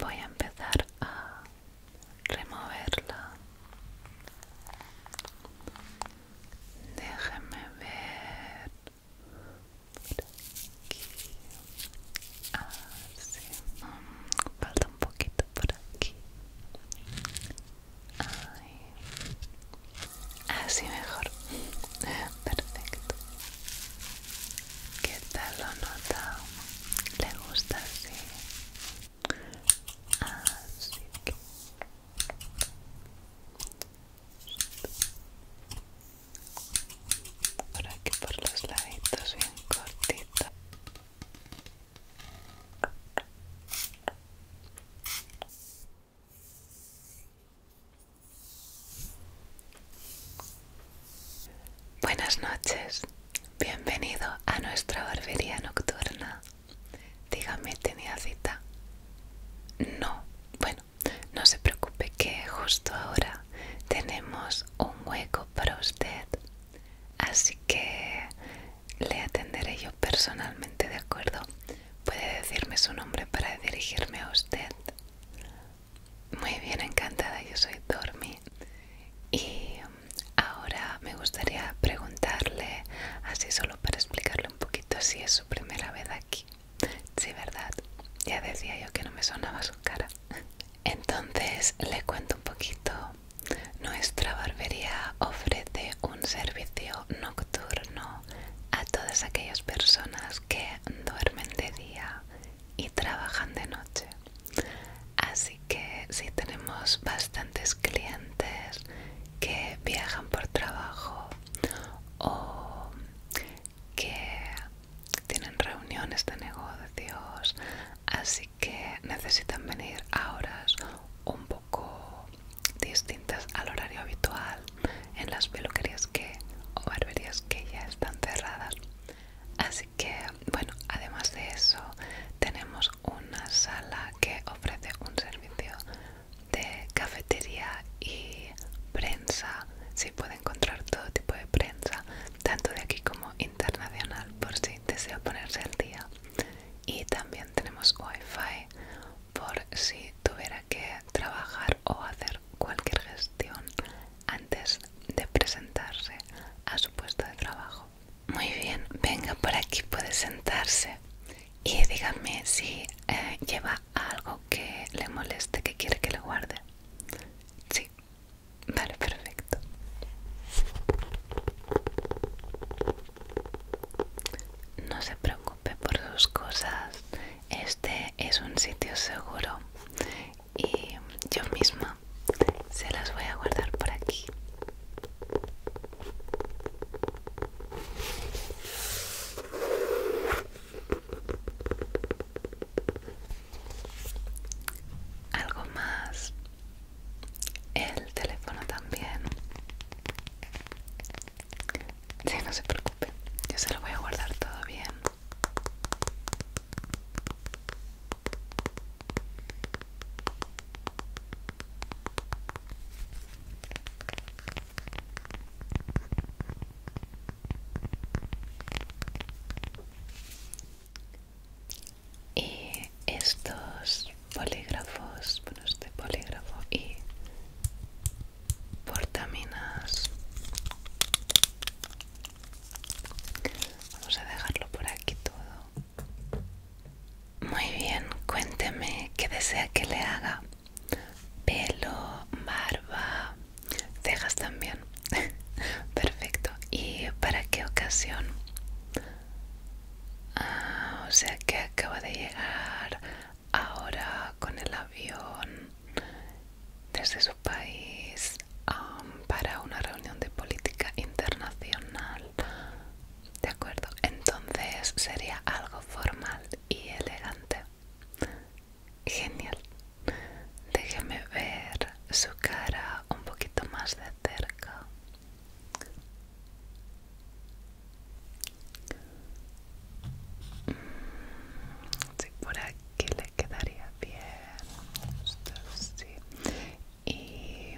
voy a empezar a removerla déjeme ver por aquí así falta un poquito por aquí Ahí. así mejor perfecto ¿Qué tal lo nota? ¿Le gusta así? Así ah, que... Por por los laditos bien cortito. Buenas noches, bienvenido a nuestra barbería nocturna. Dígame, ¿tenía cita? No, bueno, no se preocupe que justo ahora tenemos un hueco para usted, así que le atenderé yo personalmente, ¿de acuerdo? Puede decirme su nombre para dirigirme a usted. Muy bien, encantada, yo soy Dormi y ahora me gustaría preguntarle, así solo para explicarle un poquito si es su primera vez aquí. Sí, ¿verdad? Ya decía yo que no me sonaba su cara. Entonces le cuento un poquito. Nuestra barbería ofrece un servicio nocturno a todas aquellas personas que duermen de día y trabajan de noche. Así que si tenemos bastantes clientes que viajan por trabajo o que tienen reuniones de negocios, así que necesitan venir a horas un poco distintas al horario habitual en las peluquerías que o barberías que ya están cerradas que, bueno, además de eso, tenemos una sala que ofrece un servicio de cafetería y prensa. si puede encontrar todo tipo de prensa, tanto de aquí como internacional, por si desea ponerse al día. Y también tenemos wifi por si tuviera que trabajar o hacer cualquier gestión antes de presentarse a su puesto de trabajo. Muy bien, venga por aquí, puede sentarse y dígame si eh, lleva algo que le moleste, que quiere que le guarde. Sí, vale, perfecto. No se preocupe por sus cosas, este es un sitio seguro y yo misma se las voy a guardar por aquí algo más el teléfono también sí, no se preocupen yo se lo voy a guardar todo bien y estos polígrafos, bueno, este polígrafo y portaminas Vamos a dejarlo por aquí todo. Muy bien, cuénteme qué desea que le haga. Pelo, barba, cejas también. Perfecto. ¿Y para qué ocasión? Ah, o sea que acaba de llegar ahora con el avión desde su país um, para una reunión de política internacional. ¿De acuerdo? Entonces sería algo formal y elegante. Genial. Déjeme ver su cara un poquito más de cerca. Mm, sí, por aquí que le quedaría bien esto y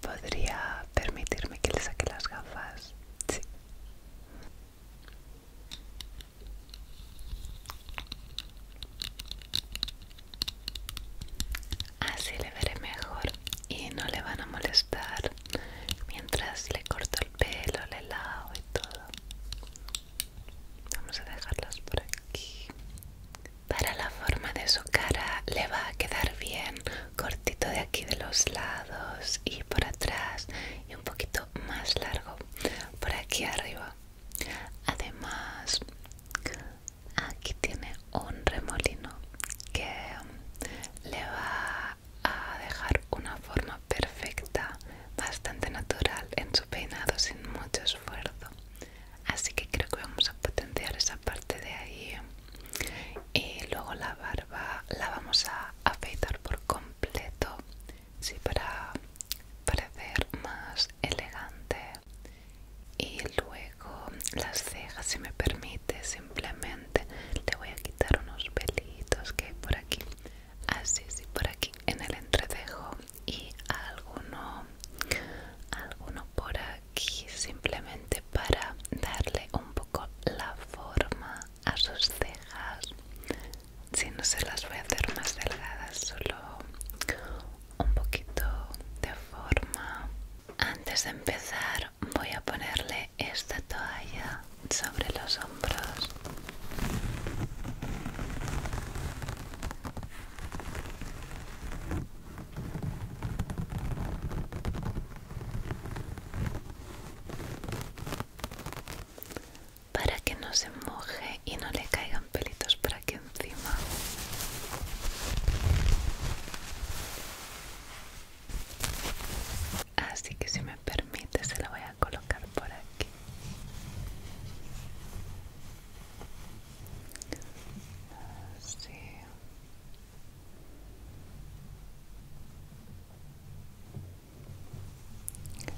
podría permitirme que le saque las gafas así le veré mejor y no le van a molestar mientras le corto el pelo le lavo y todo Vamos a dejarlas por aquí. Para la forma de su cara le va a quedar bien cortito de aquí de los lados y por atrás y un poquito más largo por aquí arriba. Además, aquí tiene un remolino que mm, le va a dejar una forma perfecta, bastante natural en su peinado sin mucho esfuerzo así que creo que vamos a potenciar esa parte de ahí y luego la barba la vamos a afeitar por completo sí, para parecer más elegante y luego las cejas si me permite simplemente le voy a quitar unos pelitos que hay por aquí así sí por aquí en el entrecejo y alguno alguno por aquí simplemente para darle un poco la forma a sus cejas si no se las voy a hacer más delgadas solo un poquito de forma antes de empezar voy a ponerle esta toalla sobre los hombros para que no se moje y no le caigan pelitos por aquí encima así que si me permite se la voy a colocar por aquí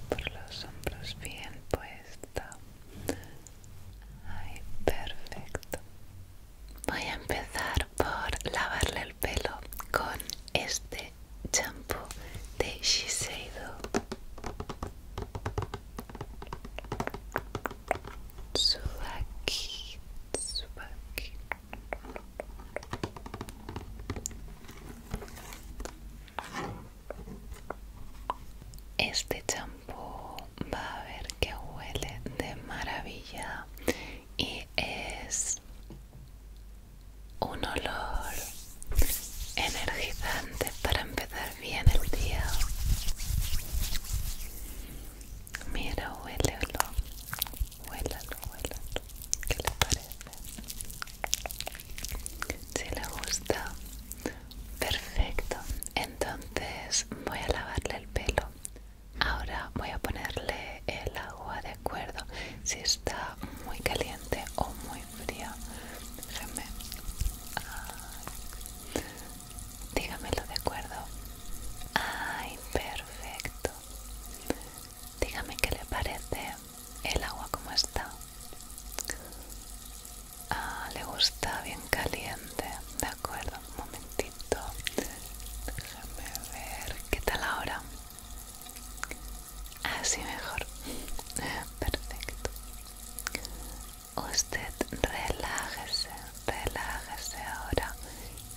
por los hombros bien puesta. perfecto. Voy a empezar por lavarle el pelo con este champú de Shiseido aquí, Este champú va a ver que huele de maravilla y es un olor energizante para empezar bien el día. Mira, huélalo. Huélalo, huélalo. ¿Qué le parece? Si le gusta. Perfecto. Entonces voy a lavarle el pelo. Ahora voy a ponerle el agua de acuerdo. Si está muy caliente o muy fría. Déjeme. Dígamelo de acuerdo. Ay, perfecto. Dígame qué le parece el agua como está. Ah, le gusta bien caliente. De acuerdo, un momentito. Déjame ver. ¿Qué tal ahora? Así mejor. Perfecto usted relájese, relájese ahora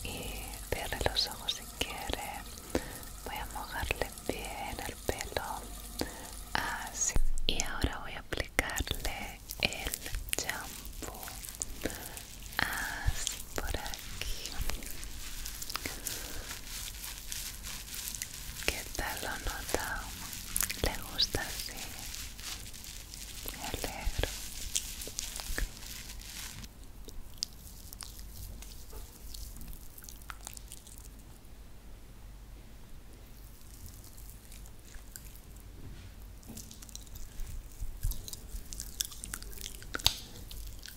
y cierre los ojos si quiere. Voy a mojarle bien el pelo, así. Y ahora voy a aplicarle el champú, así por aquí. ¿Qué tal lo nota? ¿Le gusta así? Me alegro.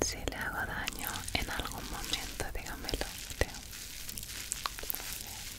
Si le hago daño en algún momento, dígamelo. Teo. que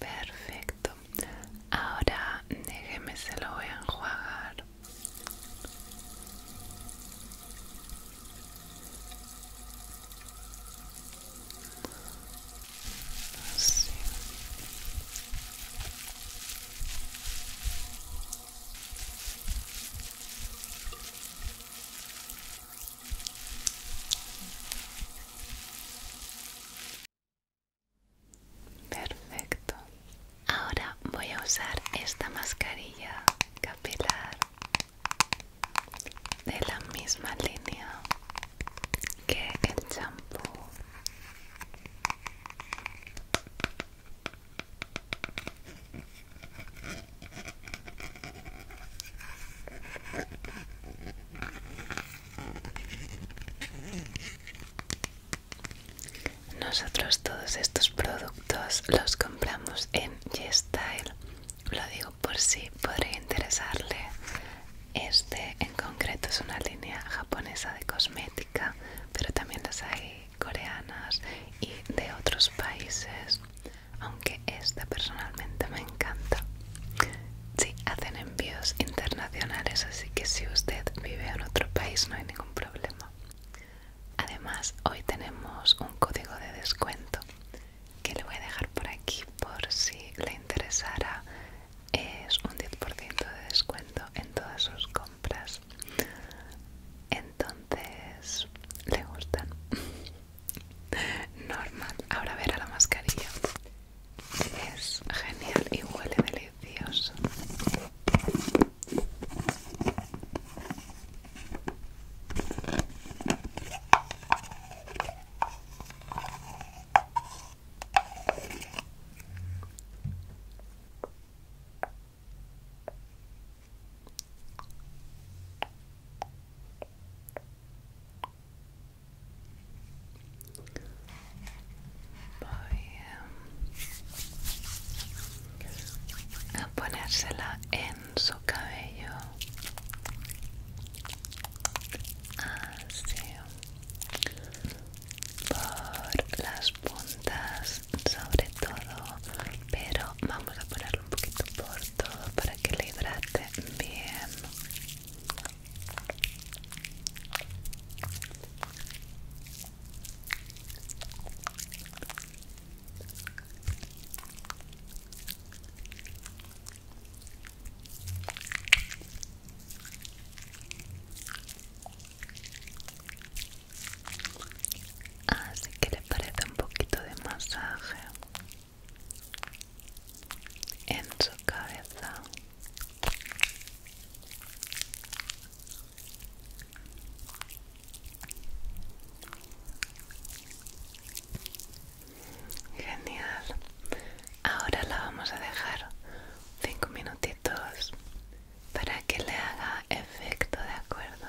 Perfecto. Ahora déjeme se lo voy a enjuagar. Perfecto. Ahora voy a usar esta mascarilla capilar de la misma línea que el champú. Nosotros todos estos productos los compramos en YesStyle, Lo digo por si podría interesarle. Este en concreto es una línea japonesa de cosmética, pero también las hay coreanas y de otros países que esta personalmente me encanta. Sí, hacen envíos internacionales, así que si usted vive en otro país no hay ningún problema. Además, hoy tenemos un código de descuento que le voy a dejar por aquí por si le interesara. Es un 10% de descuento en todas sus compras. Entonces, ¿le gustan? Normal. Ahora verá la mascarilla es genial y huele delicioso. Voy a ponérsela en su cabello. Así. Por las puntas sobre todo. Pero vamos a ponerlo un poquito por todo para que le hidrate bien. Así ah, que le parece un poquito de masaje en su cabeza genial ahora la vamos a dejar cinco minutitos para que le haga efecto de acuerdo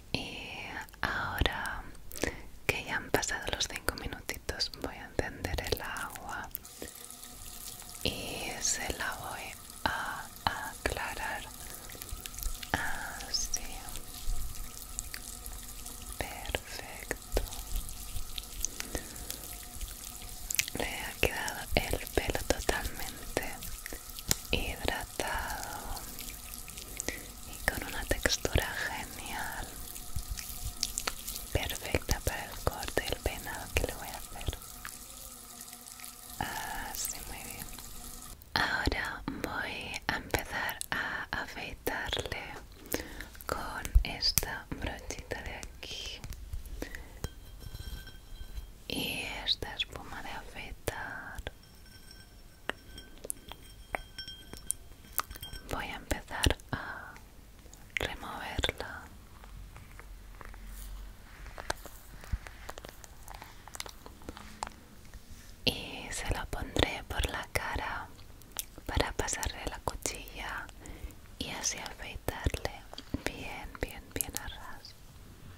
y ahora que ya han pasado los cinco minutitos voy a encender el agua y se la voy a aclarar así perfecto le ha quedado el pelo totalmente hidratado y con una textura genial perfecta para el corte y el peinado que le voy a hacer así muy bien ahora voy a empezar a afeitarle con esta brochita de aquí y esta espuma de afeitar voy a empezar a removerla y se la pondré por la cara para pasarle la cuchilla y así afeitarle bien bien bien a ras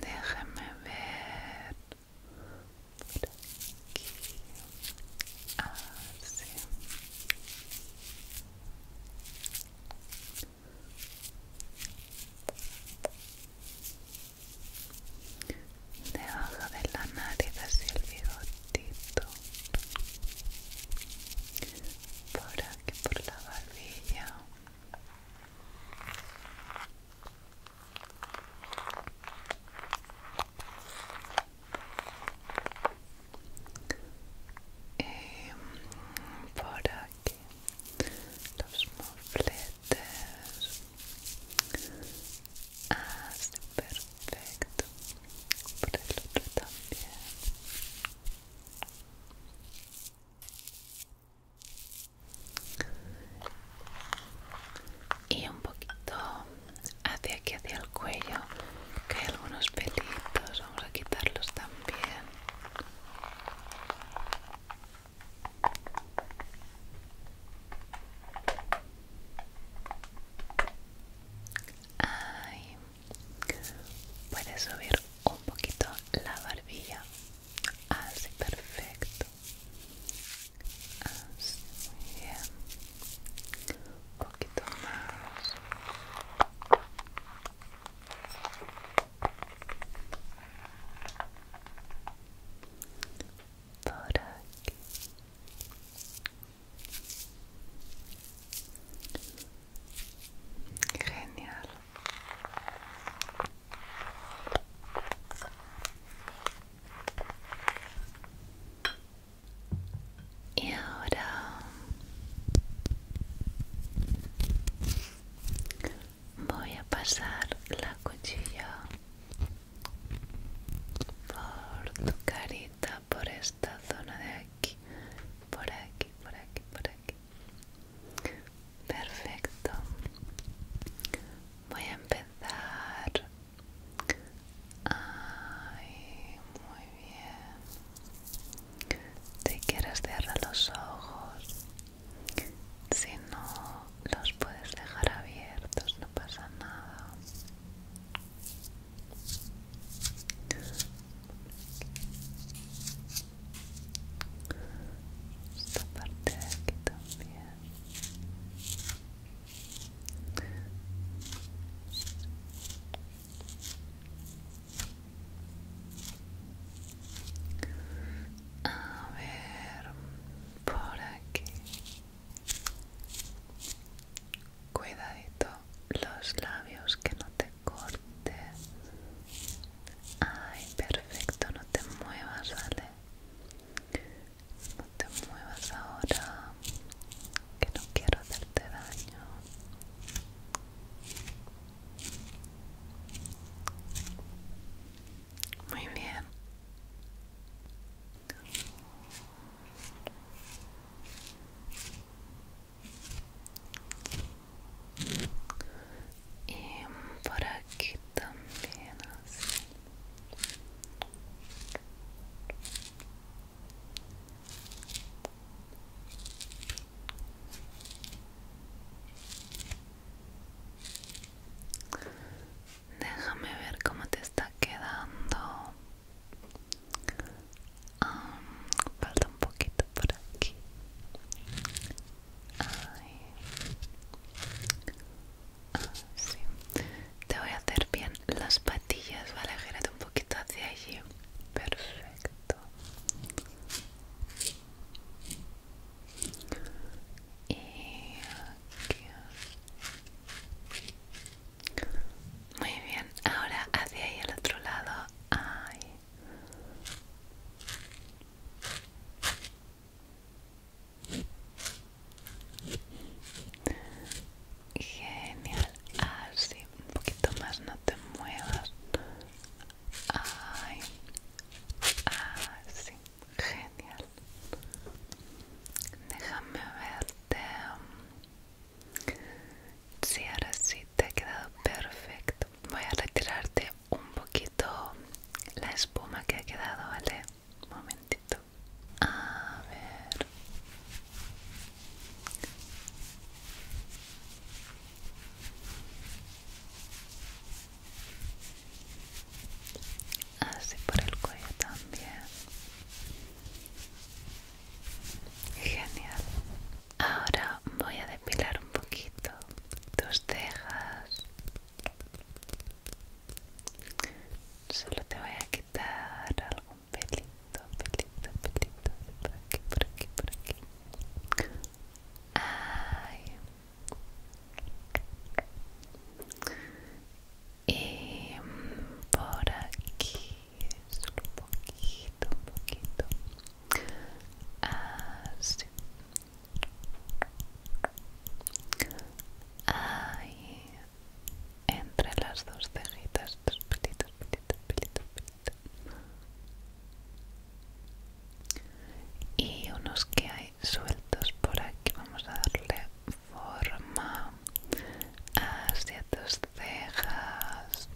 Déjeme ver aquí. Así. Ah, Debajo de la nariz hacia el bigotito. Por aquí, por la barbilla y eh, por aquí los mofletes ah perfecto por el otro también y un poquito hacia aquí hacia el cuello que hay algunos pelitos vamos a quitarlos también Ay, puedes subir un poquito la barbilla Así, perfecto. Así, muy bien. Un poquito más. Por aquí. Genial. Y ahora voy a pasar la cuchilla por tu carita, por esta zona de aquí, por aquí, por aquí, por aquí. Perfecto. Voy a empezar. Ay, muy bien. Si quieres cierra los ojos. Si no, los puedes dejar abiertos, no pasa nada esta parte de aquí también a ver por aquí cuidadito los labios que no te cortes Ay, perfecto, no te muevas, ¿vale? No te muevas ahora, que no quiero hacerte daño. Muy bien y por aquí también así Déjame ver cómo te está quedando. Ah, falta un poquito por aquí. Ah, Te voy a hacer bien las patillas, ¿vale? Gírate un poquito hacia allí. Perfecto. Y Muy bien, ahora hacia ahí al otro lado. Genial, así, ah, un poquito más, no te muevas. Ay, así, ah, genial. Déjame verte. Si ahora sí te ha quedado perfecto. Voy a retirarte un poquito la espuma que ha quedado, ¿vale? Un momentito. A ver. Así por el cuello también. Genial. Ahora voy a depilar un poquito tus cejas, Solo te voy a quitar algún pelito, pelito, pelito por aquí, por aquí, por aquí. Ay. Y por aquí, solo un poquito, un poquito. Así, ah, hay entre las dos cejitas, dos pelitos, pelitos, pelitos, pelitos. Y unos que hay sueltos por aquí. Vamos a darle forma hacia tus cejas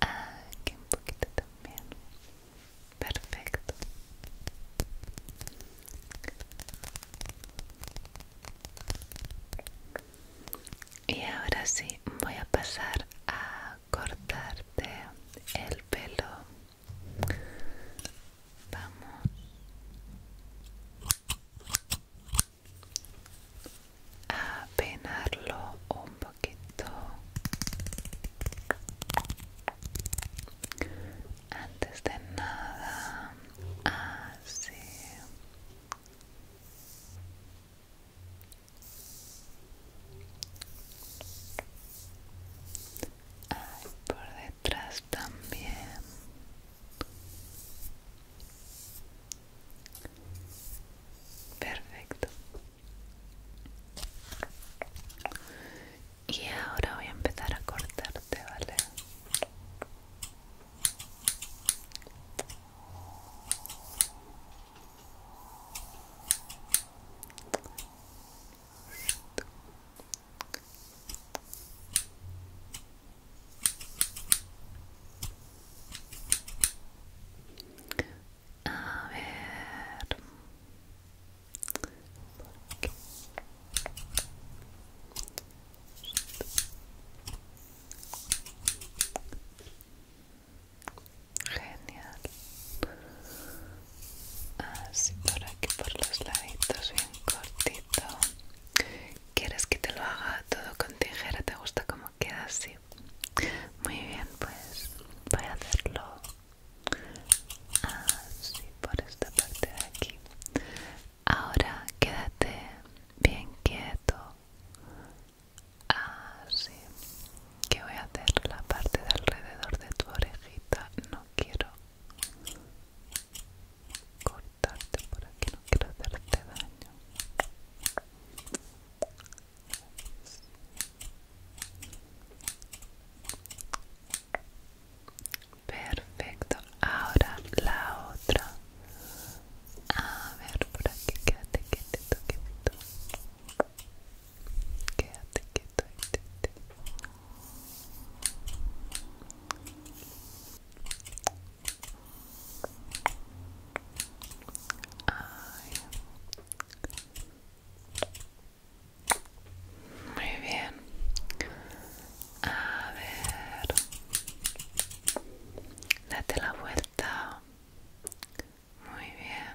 Aquí un poquito también. Perfecto. Y ahora sí, voy a pasar a cortarte el pelo. Vamos a un poquito antes de nada así por detrás también perfecto y ahora voy a empezar a cortarte vale a ver. Genial. Así por aquí, por los laditos, bien cortito. ¿Quieres que te lo haga todo con tijera? ¿Te gusta como queda así. Muy bien, pues voy a hacerlo así por esta parte de aquí. Ahora quédate bien quieto. Así que voy a hacer la parte de alrededor de tu orejita. No quiero cortarte por aquí, no quiero hacerte daño. Perfecto, ahora la otra. A ver, por aquí, quédate quédate, quédate, Quédate quédate, muy bien. A ver. Date la vuelta. Muy bien.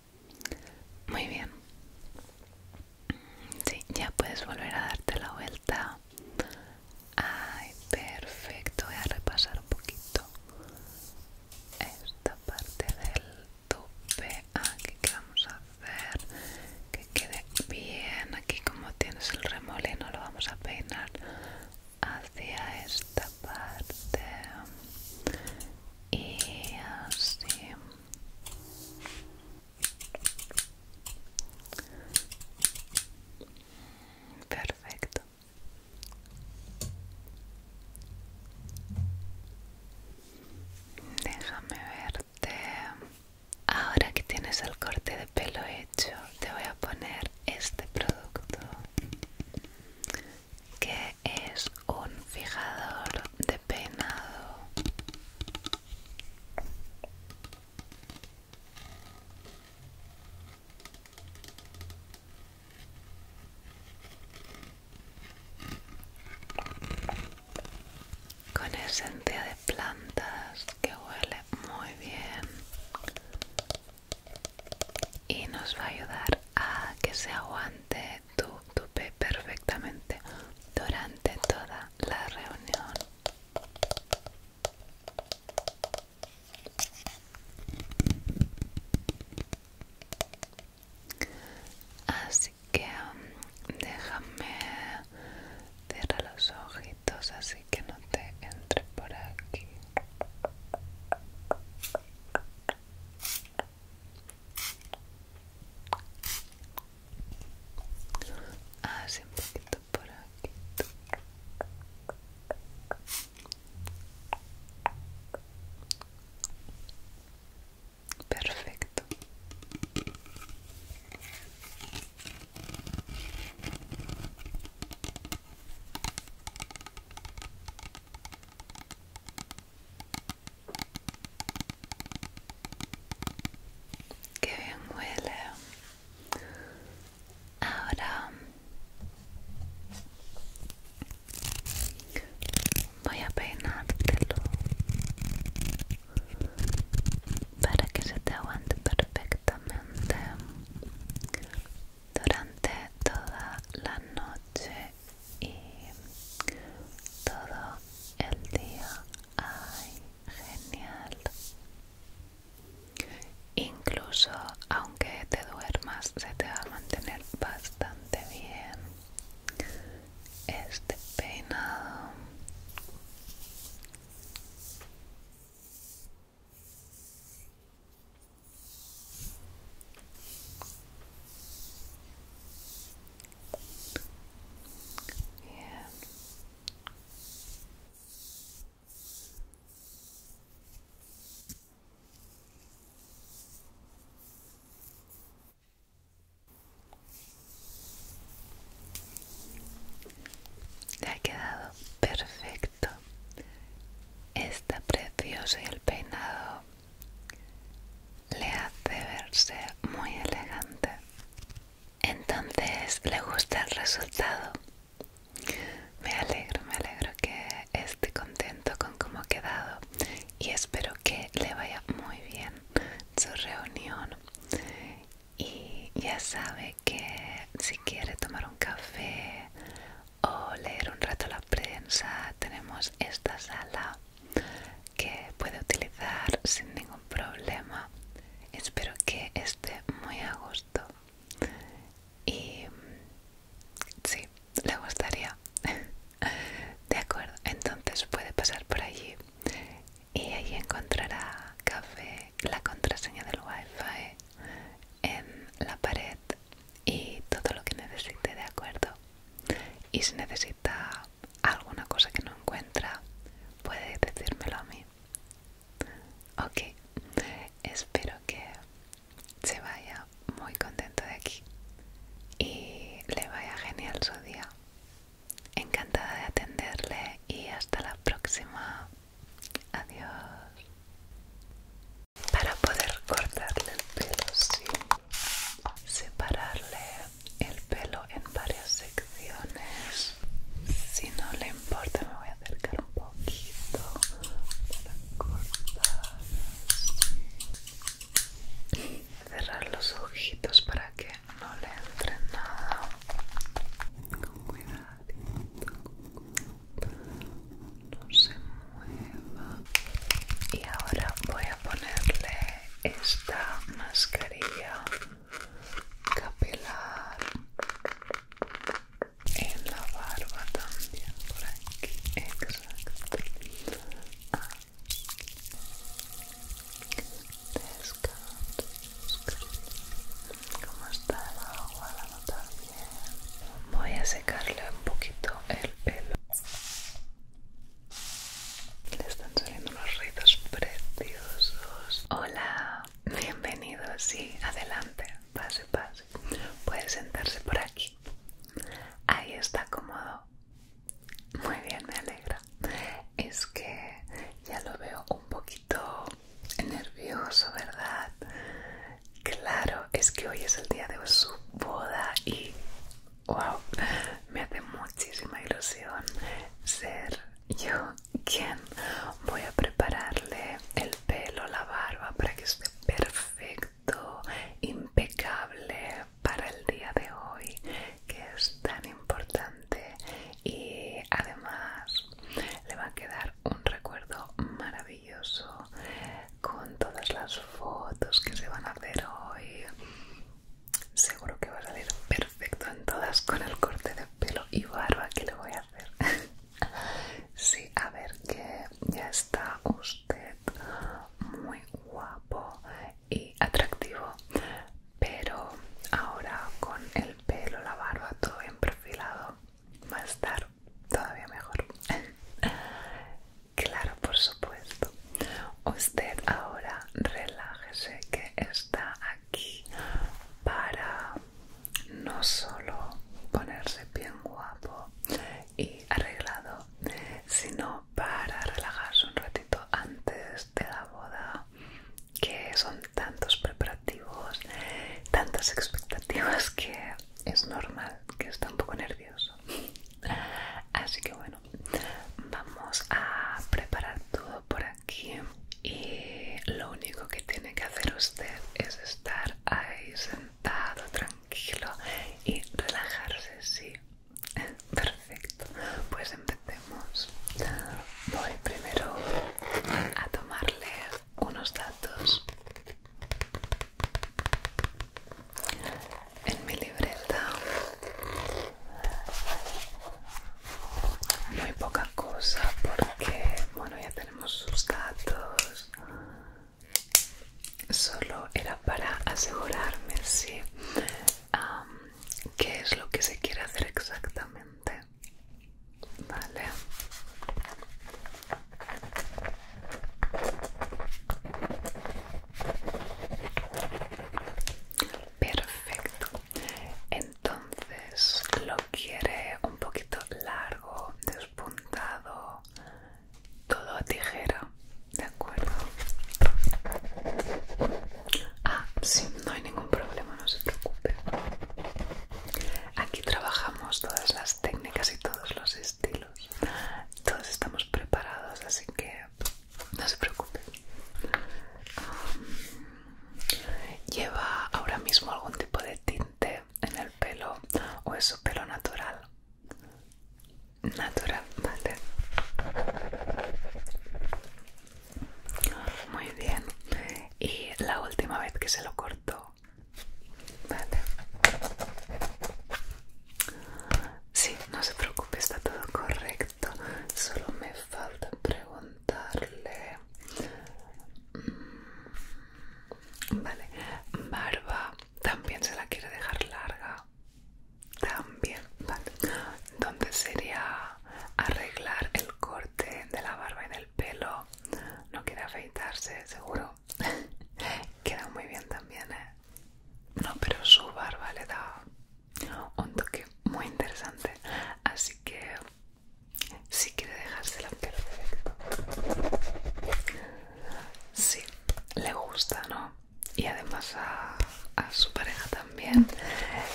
Muy bien. Sí, ya puedes volver a darte la vuelta. Ay, perfecto. Voy a repasar un poquito esta parte del tupe Aquí ah, que vamos a hacer que quede bien. Aquí como tienes el remolino lo vamos a peinar hacia esta parte y así perfecto déjame verte ahora que tienes el corte de pelo hecho te voy a poner este producto que es un fijador de peinado con esencia de plantas que huele muy bien y nos va a ayudar a que se aguante Tupe perfectamente durante toda la reunión. Así que um, déjame cerrar los ojitos así que no te entre por aquí. Hace ah, un poquito por aquí. Perfecto. Qué bien huele. Ahora voy a peinártelo para que se te aguante perfectamente durante toda la noche y todo el día. ¡Ay, genial! Incluso aunque te duermas, se te va a mantener bastante bien este peinado. Le ha quedado perfecto. Está precioso y el peinado le hace verse muy elegante. Entonces le gusta el resultado. Me alegro, me alegro que esté contento con cómo ha quedado y espero que le vaya muy bien su reunión. Y ya sabe que si quiere tomar un café o leer un rato la prensa, tenemos esta sala que puede utilizar sin ningún problema. Espero que esté muy a gusto y sí, le gustaría. De acuerdo, entonces puede pasar por allí y allí encontrará café, la contraseña del wifi en la pared y todo lo que necesite, de acuerdo. Y si necesita alguna cosa que no encuentra, puede decírmelo a mí. Ok, espero que se vaya muy contento de aquí y le vaya genial su día. Encantada de atenderle y hasta la próxima. Adiós. Para poder cortarle el pelo Sí separarle el pelo en varias secciones. Si no le importa, me voy a acercar un poquito para cortar. y Cerrar los ojitos para que no le entre nada. Con cuidadito, no se mueva. Y ahora voy a ponerle esta mascarilla capilar en la barba también por aquí exacto descanso como está el agua la nota bien voy a secarle un poquito el pelo le están saliendo unos ruidos preciosos. Hola, bienvenidos Sí, adelante. Pase, pase. Puede sentarse por aquí. Ahí está cómodo. Muy bien, me alegra. Es que ya lo veo un poquito nervioso, ¿verdad? Claro, es que hoy es el día de su boda y wow, me hace muchísima ilusión ser yo quien voy a prepararle el pelo, la barba para que esté perfecto, impecable para el día de hoy que es tan importante y además le va a quedar un recuerdo maravilloso con todas las fotos que se van a hacer hoy Seguro que va a salir perfecto en todas con el corte de pelo y barba que le voy a hacer. sí, a ver que ya está usted muy guapo y atractivo, pero ahora con el pelo, la barba, todo bien perfilado, va a estar todavía mejor. Claro, por supuesto. Usted ahora relájese que está aquí para no solo ponerse bien guapo y arreglado, sino para relajarse un ratito antes de la boda, que son tantos preparativos, tantas expectativas que es normal que está un poco nervioso. Así que bueno, vamos a preparar todo por aquí y lo único que tiene que hacer usted es estar ahí sentado tranquilo y relajarse sí perfecto pues empecemos voy primero a tomarle unos datos en mi libreta muy poca cosa porque bueno ya tenemos sus datos solo era para asegurarme si qué es lo que se quiere hacer exactamente vale Perfecto. Entonces, ¿lo quiere un poquito largo, despuntado, todo a tijera? ¿De acuerdo? Ah, sí, no hay ningún problema, no se preocupe. Aquí trabajamos todas las técnicas y todos los estilos. Todos estamos preparados, así que no se preocupe. Um, ¿Lleva ahora mismo algún tipo de tinte en el pelo o es su pelo natural? Natural, vale. Muy bien. Y la última vez que se lo cortó. Vale. Sí, no se preocupe, está todo correcto. Solo me falta preguntarle. Mm, vale, barba también se la quiere dejar larga. También, vale. ¿Dónde sería arreglar el corte de la barba y del pelo? No quiere afeitarse, seguro. Queda muy bien también, ¿eh? No, pero su barba le da un toque muy interesante así que si quiere dejársela perfecto sí le gusta no y además a, su pareja también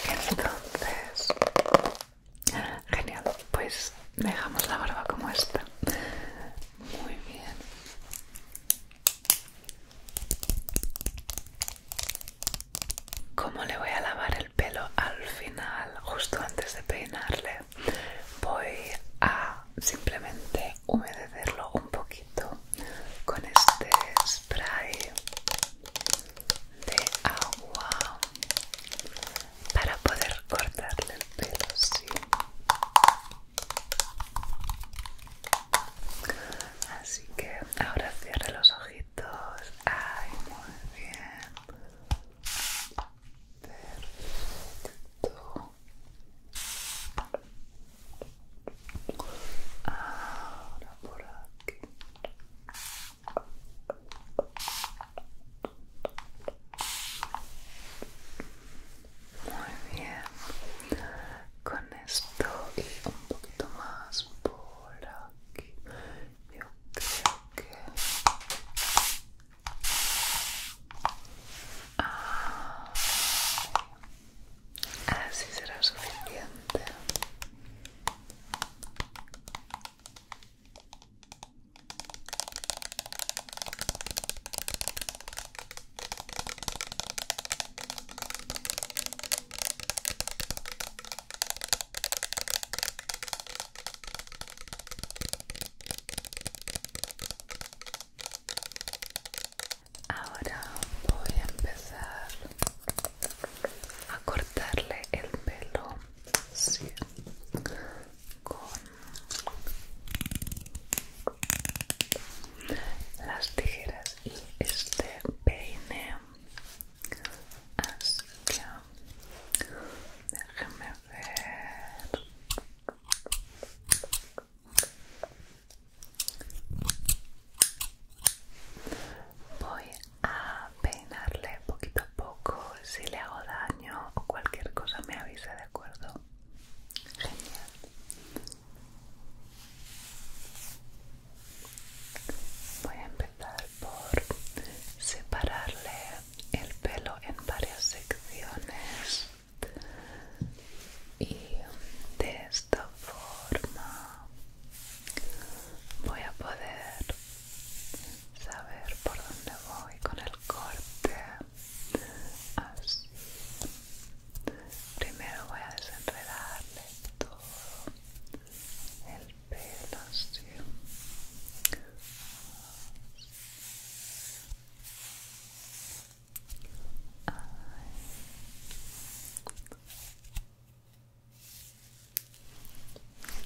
entonces genial pues dejamos la barba como está muy bien como le voy a lavar el pelo al final, justo antes de peinarle, voy a simplemente humedecerlo un poquito con este spray de agua para poder cortarle el pelo, sí. Así que ahora cierre los ojitos. Ay, muy bien. por aquí. Muy bien esto y un poquito más por aquí. Yo creo que ah, así será suficiente. Ahora voy a empezar a cortarle el pelo con las tijeras y este peine Así que déjeme ver. Voy a peinarle poquito a poco. Si le hago daño o cualquier cosa, me avisa, ¿de acuerdo? Genial. Voy a empezar por separarle el pelo en varias secciones y de esta forma voy a poder saber por dónde voy con el corte así primero voy a desenredarle el pelo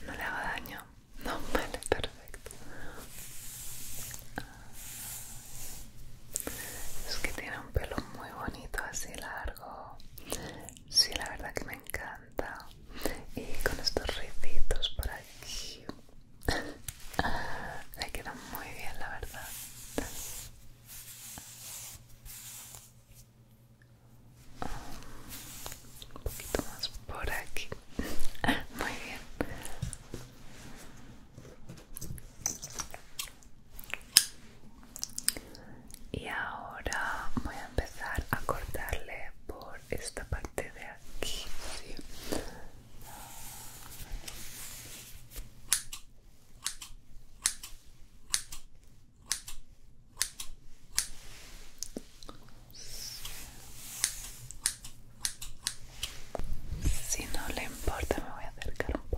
No le hago daño, no vale, perfecto. Es que tiene un pelo muy bonito, así largo. Sí, la verdad que me encanta. Y con estos ricitos por aquí. me quedan muy bien, la verdad. Un poquito más por aquí. Muy bien y ahora voy a empezar a cortarle por esta parte de aquí Si no le importa, me voy a acercar un poco.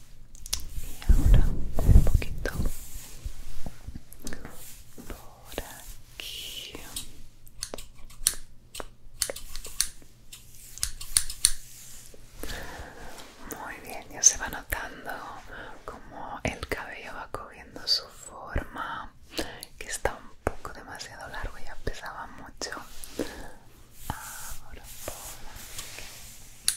y ahora un poquito por aquí muy bien ya se va notando como el cabello va cogiendo su forma que está un poco demasiado largo ya pesaba mucho ahora por muy bien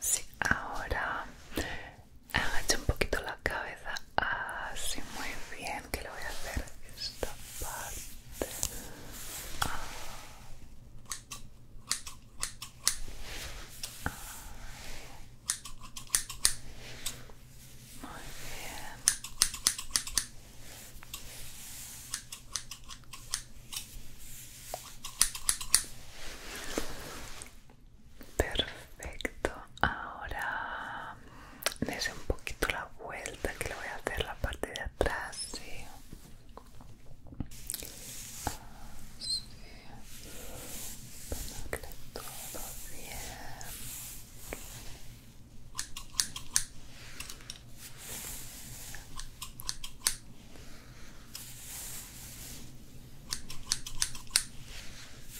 sí, ahora agacha un poquito la cabeza así muy bien que lo voy a hacer esta parte. Muy bien. Perfecto. Ahora Necesito un poquito la vuelta que le voy a hacer la parte de atrás sí.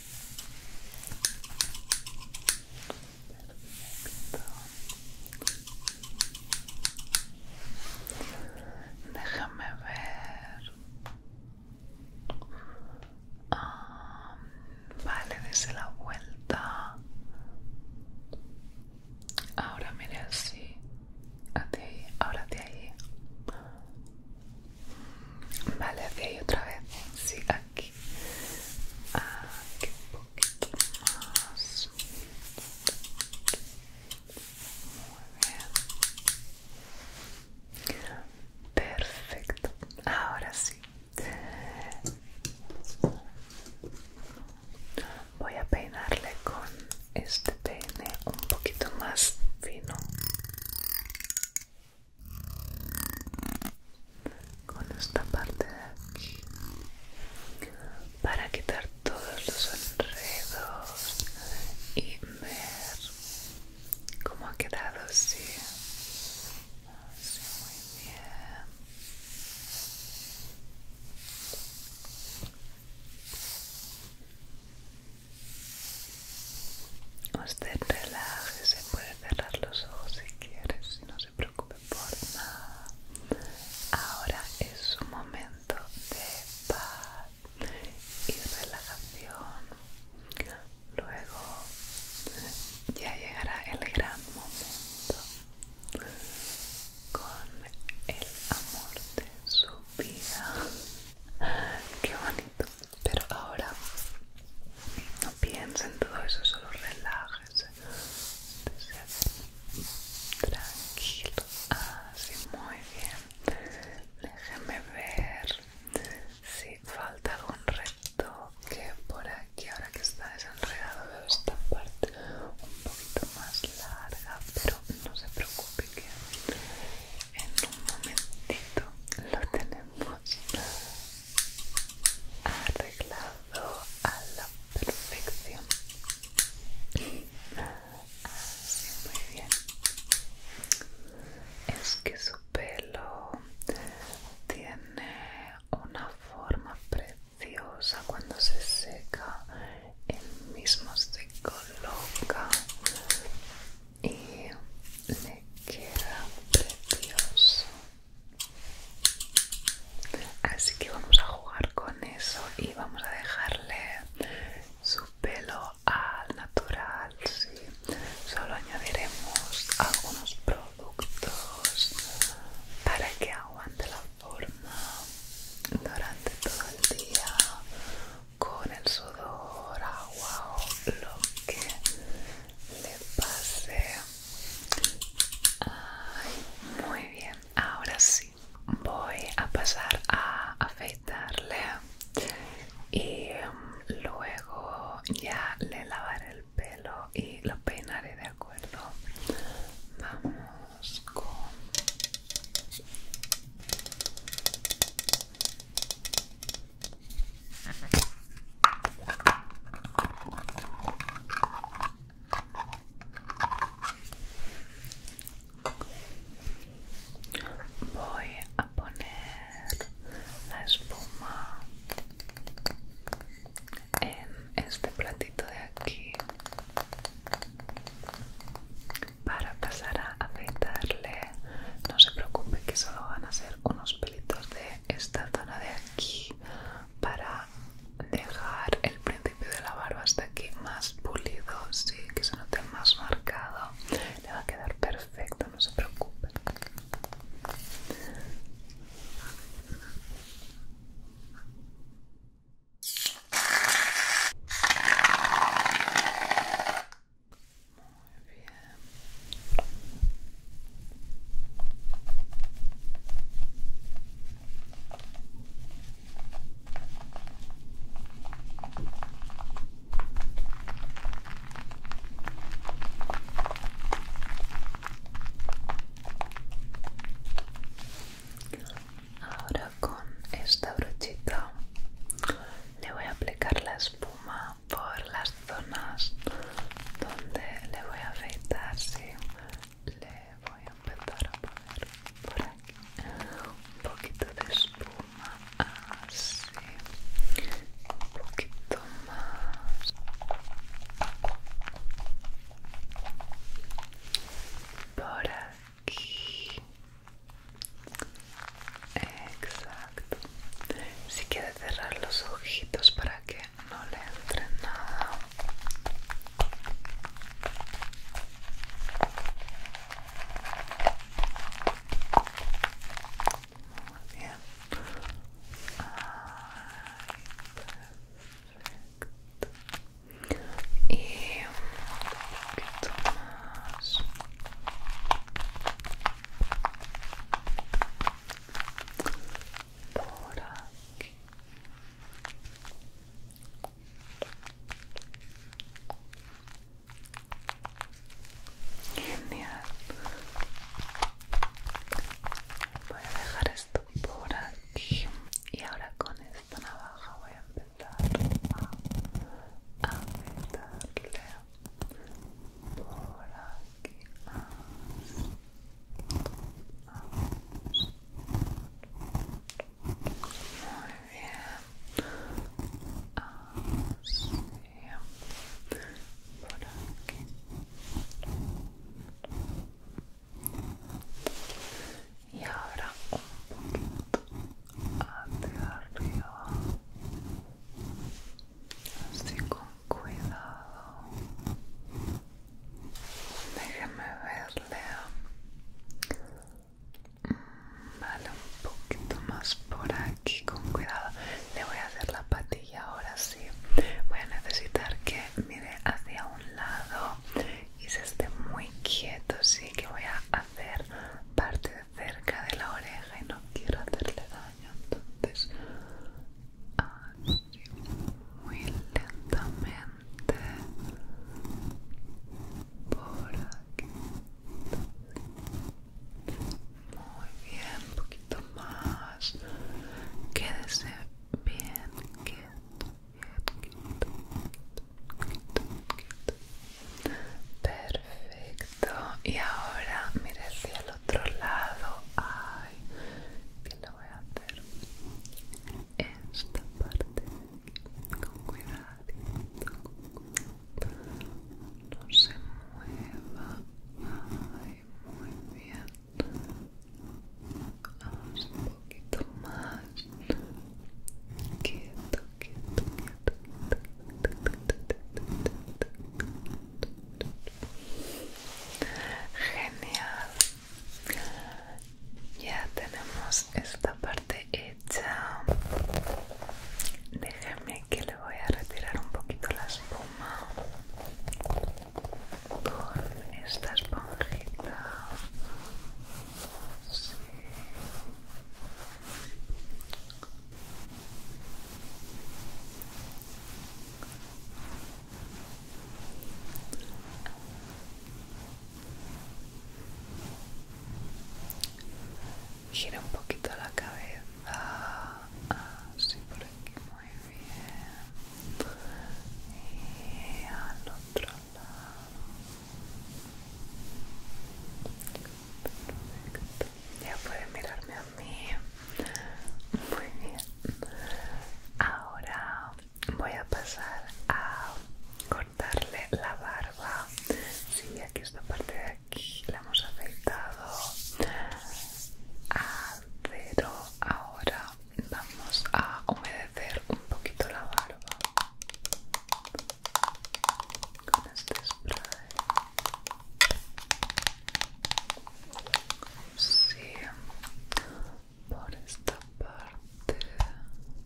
Perfecto. Déjame ver. Ah, vale, desde la vuelta. Ahora mire así. Hacia ah, ahí, ahora hacia ahí. Mm, vale, hacia ahí otra vez. Sí, aquí aquí ah, un poquito más muy bien perfecto ahora sí voy a peinarle con este peine un poquito más fino con esta parte de aquí para quitar todos los enredos y ver cómo ha quedado así muy bien Usted relaje, se puede cerrar los ojos si quieres y no se preocupe por nada. Ahora es su momento de paz y relajación. Luego ya llegará el gran momento con el amor de su vida. Qué bonito. Pero ahora no piensen todo eso, solo relájese. Tranquilo. Así, ah, muy bien. Déjeme ver si falta algún reto que por aquí. Ahora que está desenredado, veo esta parte un poquito más larga, pero no se preocupe que en un momentito lo tenemos arreglado a la perfección así muy bien es que su pelo tiene una forma preciosa cuando se seca En mismo se coloca y le queda precioso Así que vamos a jugar con eso y vamos a dejarle su pelo al natural, Solo añadiremos algunos productos para que aguante la forma durante todo el día con el sudor, agua o lo que le pasé muy bien ahora sí voy a pasar a afeitarle y um, luego ya le lavaré el pelo y lo peinaré de acuerdo vamos con Voy a poner la espuma en este platito de aquí para pasar a afeitarle. No se preocupe que solo van a ser unos pelitos de esta zona de aquí para dejar el principio de la barba hasta aquí más pulido, sí, que se note más marcado. Le va a quedar perfecto, no se preocupen. Muy bien. Ahora con esta brochita le voy a aplicar la espuma por las zonas donde le voy a afeitar, sí. Le voy a empezar a poner por aquí un poquito de espuma, así. Un poquito más. Por aquí. Exacto. Si quiere cerrar los ojitos para que no le entre nada muy bien Ay, y un poquito más por aquí genial voy a dejar esto por aquí y ahora con esta navaja voy a empezar a apretarle por aquí muy bien. Así. Por aquí. Y ahora un poquito hacia arriba así con cuidado déjeme verle mm, vale un poquito más por aquí con cuidado le voy a hacer la patilla ahora sí voy a necesitar que mire hacia un lado y se esté muy quieto sí que voy a hacer parte de cerca de la oreja y no quiero hacerle daño entonces ah, muy lentamente por aquí muy bien un poquito más quédese bien quieto perfecto y ahora mire hacia el otro lado hay voy a hacer esta parte con cuidado, no se mueva muy bien vamos un poquito más quieto, quieto. Genial. Ya tenemos esta parte hecha. Déjeme que le voy a retirar un poquito la espuma con esta esponjita. Gira un poquito la cabeza. Así ah, por aquí, muy bien. Y al otro lado. Perfecto. Ya pueden mirarme a mí. Muy bien. Ahora voy a pasar a cortarle la barba. Sí, aquí esta parte de aquí la hemos aceitado, a ah, cero. Ahora vamos a humedecer un poquito la barba con este spray sí por esta parte bien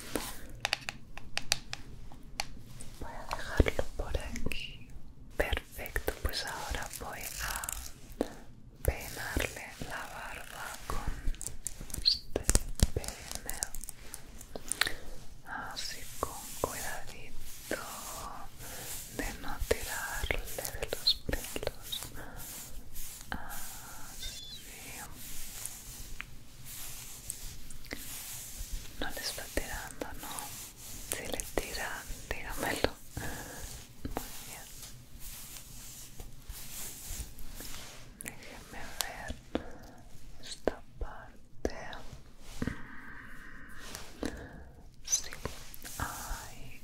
voy a dejarlo por aquí perfecto pues ahora voy a peinarle la barba con este peine así con cuidadito de no tirarle de los pelos así no le está tirando, no. Si le tira, dígamelo. Muy bien. Déjeme ver esta parte. Sí, hay,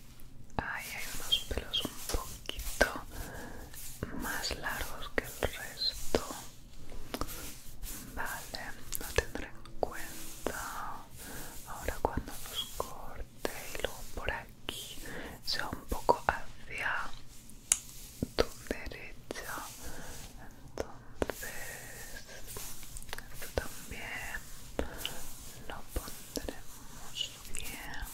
hay unos pelos un poquito más largos que el resto. Vale, lo tendré en cuenta. Ahora cuando los corte y luego por aquí, sea un poco hacia tu derecha. Entonces, esto también lo pondremos bien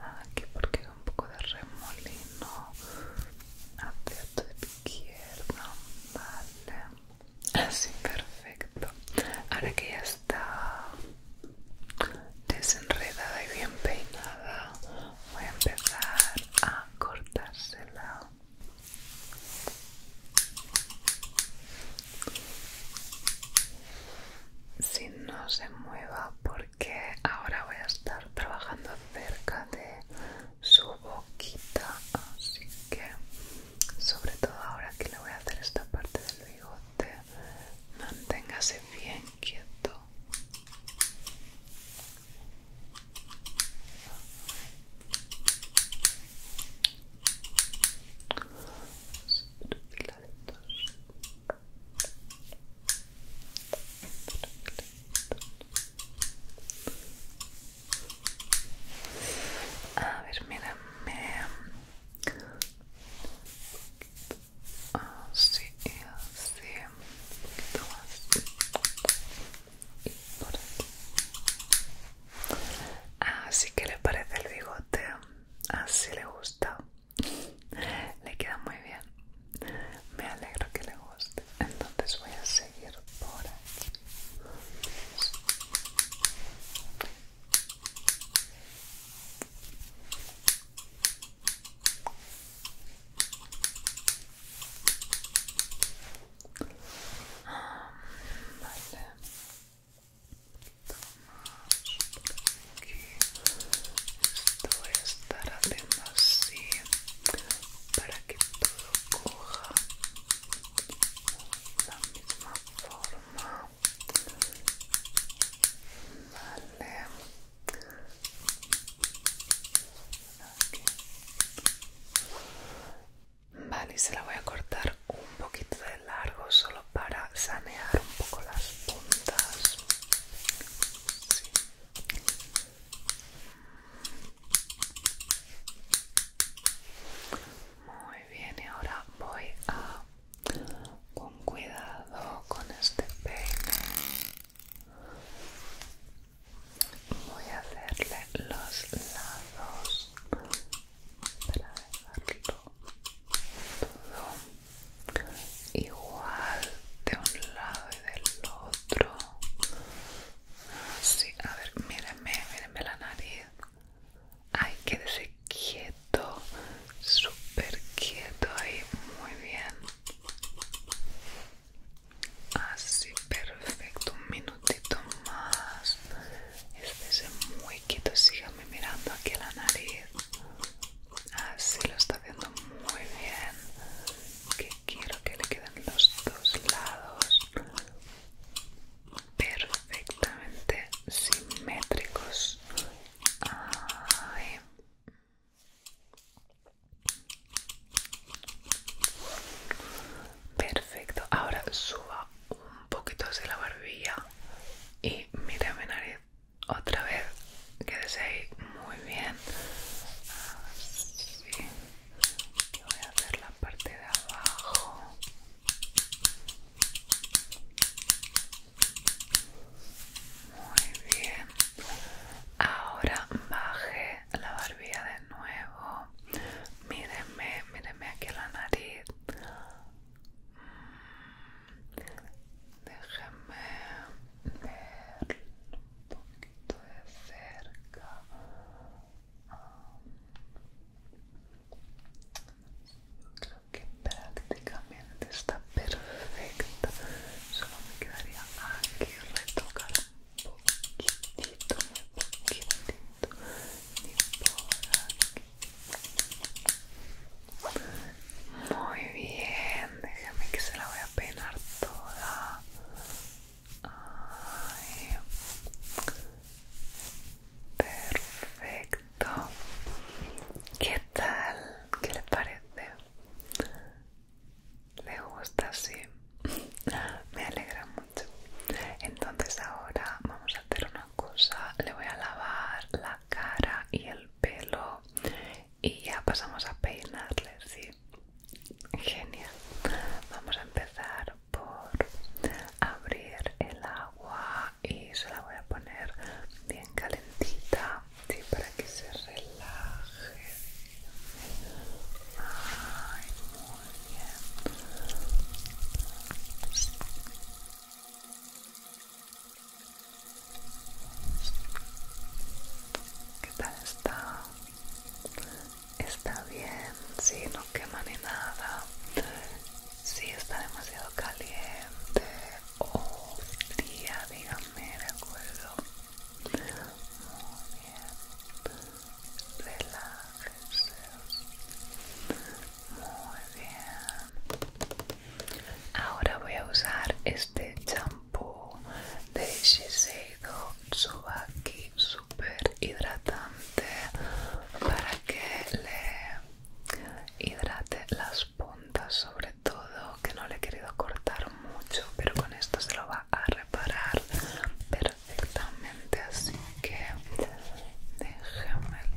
aquí porque un poco de remolino hacia tu izquierda, vale, así perfecto. Ahora que ya está desenredada y bien peinada, voy a empezar a cortársela. si no se mueva porque que ahora voy a estar trabajando cerca de su boquita así que sobre todo ahora que le voy a hacer esta parte del bigote manténgase bien quieto a ver, mira, me... Así y así, un Así ah, que le parece el bigote, así le gusta. Le queda muy bien. Me alegro que le guste entonces voy a seguir por aquí ah, aquí esto voy a estar haciendo así para que todo coja la misma forma vale Vale, y se la voy a cortar un poquito de largo solo para sanear un poco las puntas. Muy bien, y ahora voy a con cuidado con este peine. Voy a hacerle los lados para dejarlo igual de un lado y del otro así a ver mírenme mírenme la nariz ay quédese quieto súper quieto ahí muy bien así perfecto un minutito más Quédese muy quieto síganme mirando aquí la nariz así lo está haciendo muy bien quiero que le queden los dos lados perfectamente simétricos. Perfecto, ahora suba un poquito hacia la barbilla y mira mi nariz otra vez quédese ahí muy bien voy a hacer la parte de abajo muy bien ahora baje la barbilla de nuevo míreme míreme aquí la nariz mm. Déjenme ver un poquito de cerca um, creo que prácticamente está perfecta solo me quedaría aquí retocar un poquitito un poquitito por muy bien, déjame que se la voy a peinar toda Perfecto. ¿Qué tal? ¿Qué le parece? ¿Le gusta? así? Me alegra mucho. Entonces ahora vamos a hacer una cosa. Le voy a lavar la cara y el pelo y ya pasamos a peinarle ¿sí? Genial. Vamos a empezar por abrir el agua y se la voy a poner bien calentita, ¿sí? Para que se relaje. Ay, muy bien. ¿Qué tal está? Está bien, sí, no quema ni nada. Si está demasiado caliente o oh, fría, dígame, de acuerdo. Muy bien, relájese. Muy bien. Ahora voy a usar este champú de este Shiseido Tsubaki super hidratante para que le hidrate las puntas sobre todo que no le he querido cortar mucho pero con esto se lo va a reparar perfectamente así que déjamelo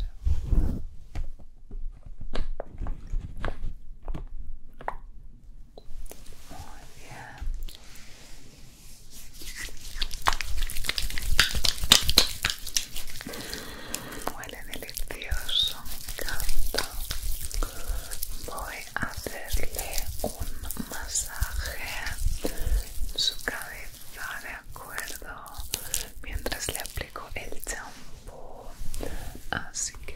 muy bien. Huele delicioso, me encanta. Voy a hacerle un masaje en su cabeza, ¿de acuerdo? Mientras le aplico el champú. Así que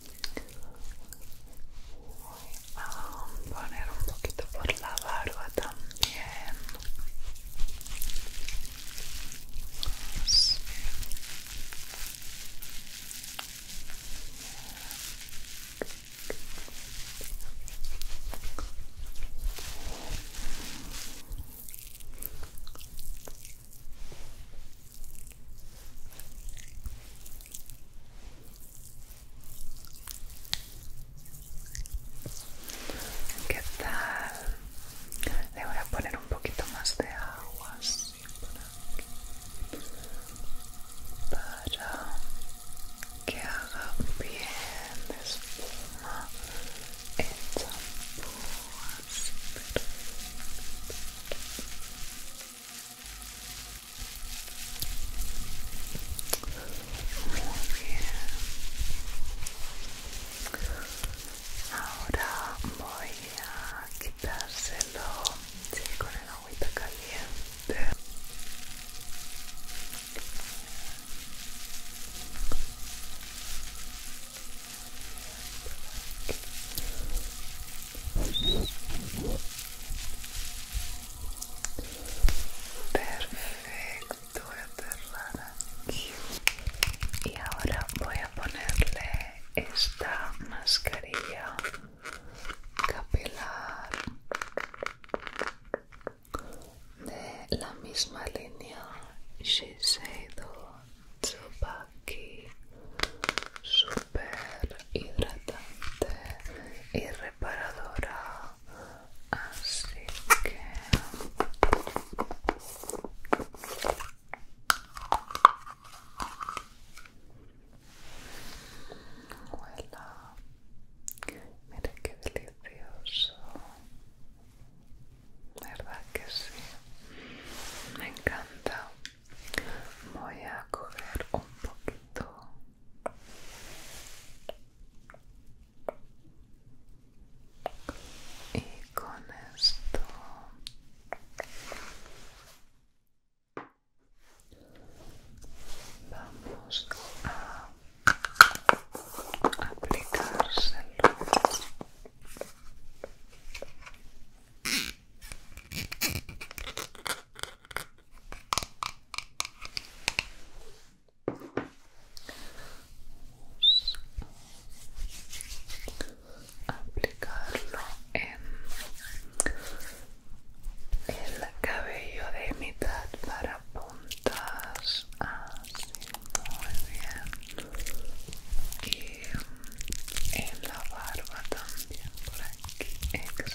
a poner un poquito por la barba también ¿Qué tal? Le voy a poner un poquito más de agua así por aquí para que haga bien de espuma el champú así perfecto. Ahora voy a quitárselo con el agüita caliente. Perfecto, Y ahora voy a ponerle esta mascarilla capilar de la misma línea Shiseido Tsubaki hidratante y reparadora así que Huela. Miren qué delicioso. ¿Verdad que sí? Me encanta. Voy a coger un poquito y con esto vamos a aplicárselo aplicarlo en el cabello de mitad para puntas así muy bien y em, en la barba también por aquí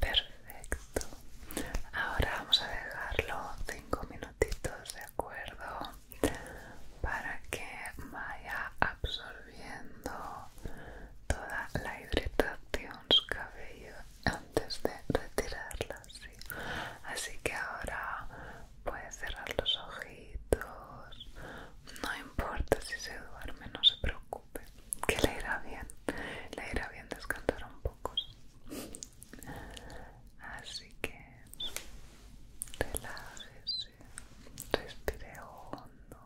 Perfecto. Ahora vamos a dejarlo 5 minutitos, ¿de acuerdo? Para que vaya absorbiendo toda la hidratación su cabello antes de retirarla, Así que ahora puedes cerrar los ojitos. No importa si se duerme, no se preocupe que le irá bien, le irá bien descansar un poco. Así que relájese, respire hondo.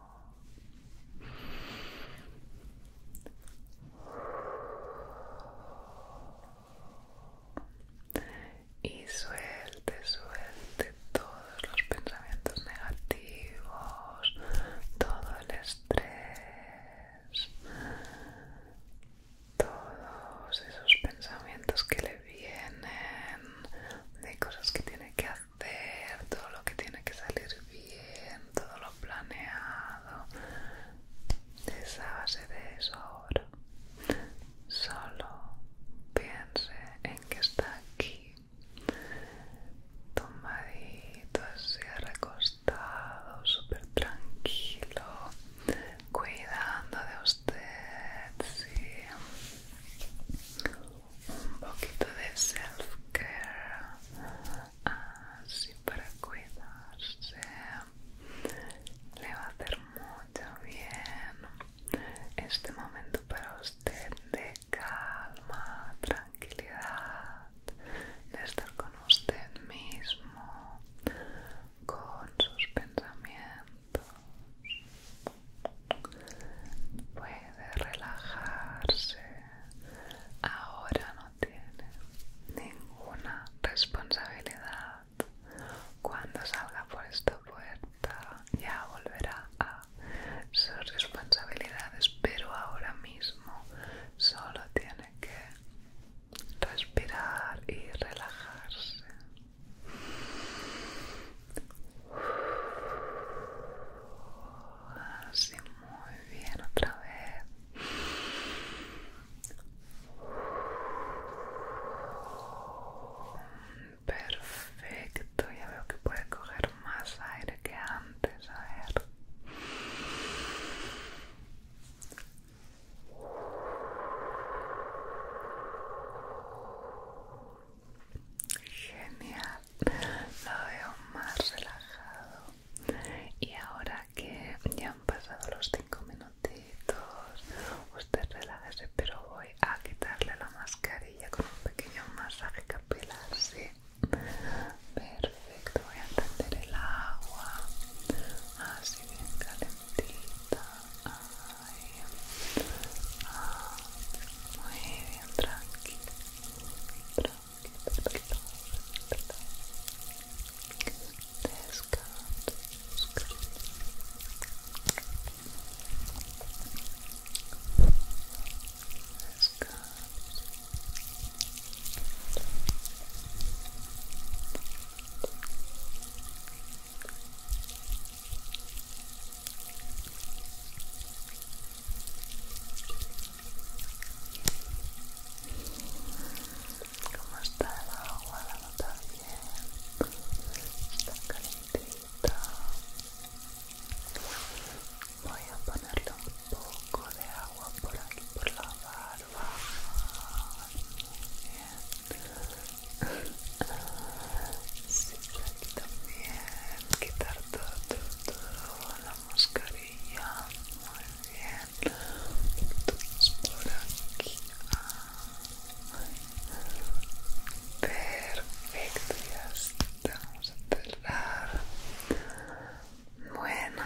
Y suelte, suelte todos los pensamientos negativos, todo el todos esos pensamientos que le vienen, de cosas que tiene que hacer, todo lo que tiene que salir bien, todo lo planeado. base de eso ahora. Solo piense en que está aquí. Tomadito, así recostado estado súper tranquilo cuidando de usted sí un poquito de self care así para cuidarse le va a hacer mucho bien este momento para usted de calma, tranquilidad, de estar con usted mismo, con sus pensamientos. Puede relajarse. Ahora no tiene ninguna responsabilidad. Cuando salga por esta puerta ya volverá a sus responsabilidades, pero ahora mismo solo tiene que respirar y relajarse. Así muy bien otra vez. Perfecto, ya veo que puede coger más aire que antes, a ver. Genial, lo veo más relajado. Y ahora que ya han pasado los 5 minutitos, usted relájese, pero voy a quitarle la mascarilla con un pequeño masaje capilar, ¿sí? Perfecto, voy a entender el agua así bien calentita. Ay, ah, muy bien, tranquila tranquilo, tranquilo. Descansa, descansa. ¿Cómo está el agua? ¿La notas bien? ¿Está calientita? voy a ponerle un poco de agua por aquí por la barba muy bien sí, también quitar todo, todo, la mascarilla muy bien por aquí perfecto ya vamos a cerrar bueno,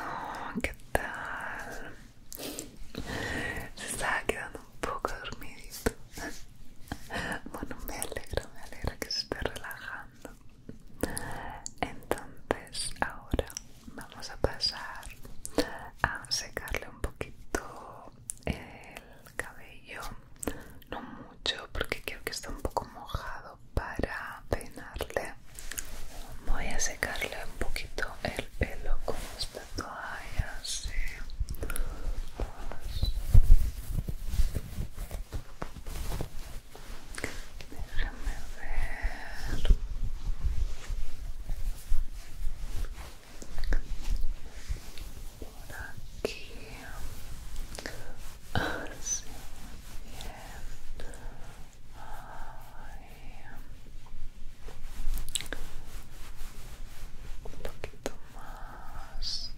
¿qué tal? Se estaba quedando un poco dormidito. Bueno, me alegro, me alegro que se esté relajando. Entonces, ahora vamos a pasar a secarle un poquito el cabello. No mucho, porque creo que está un poco mojado para peinarle voy a secarle un poquito el pelo con esta toalla así déjame ver por aquí así ah, un poquito más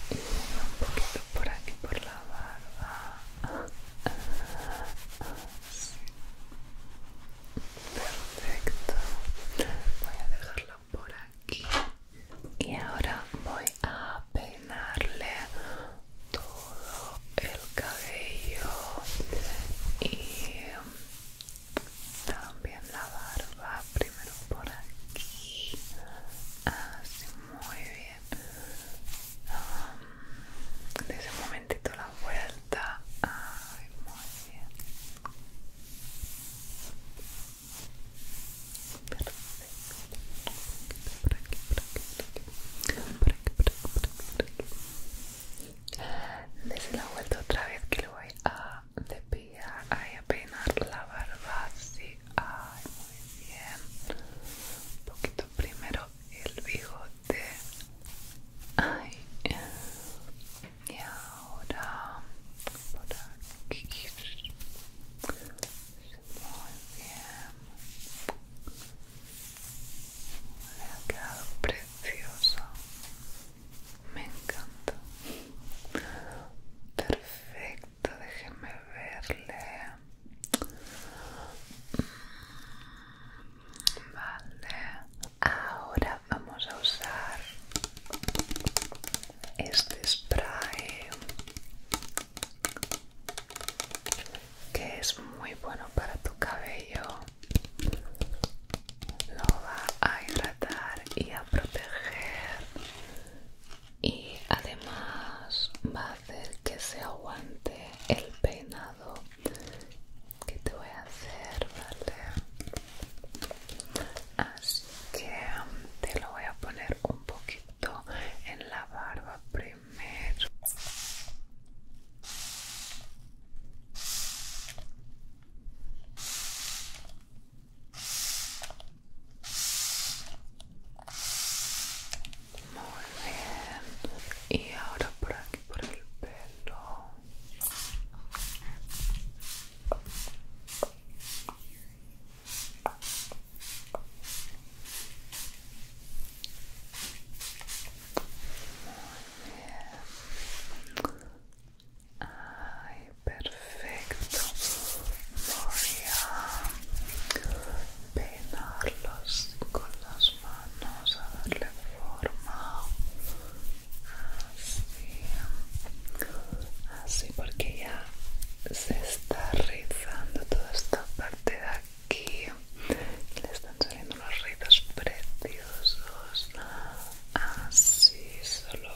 un poquito por aquí por la barba perfecto voy a dejarlo por aquí y ahora voy a peinarle todo el cabello y también la barba primero por aquí así muy bien um, En un ese momentito la vuelta muy bien perfecto un por aquí, por aquí, por aquí por aquí, por aquí, por aquí la vuelta otra vez que lo voy a despegar, ay, a peinar la barba así ay muy bien un poquito primero el bigote ay y ahora por aquí muy bien. Le ha quedado precioso. Me encanta. Perfecto, déjeme verle. Mm, vale. Ahora vamos a usar este spray que es muy bueno para tu cabello lo va a hidratar y a proteger y además va a hacer que se aguante el peinado que te voy a hacer vale así que te lo voy a poner un poquito en la barba primero. Muy bien. Y ahora por aquí, por el pelo. Ay, perfecto. Voy a con las manos a darle forma. Así. Así porque ya se está rizando toda esta parte de aquí le están saliendo unos rizos preciosos así solo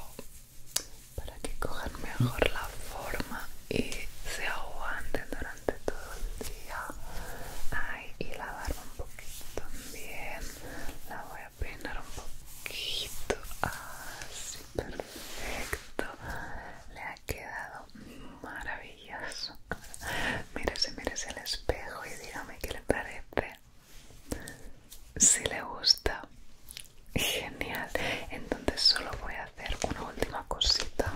para que cojan mejor la forma y se aguanten durante todo el día Ay, y la barba un poquito también la voy a peinar un poquito así perfecto quedado maravilloso. Mírese, mírese el espejo y dígame qué le parece. Si le gusta, genial. Entonces solo voy a hacer una última cosita.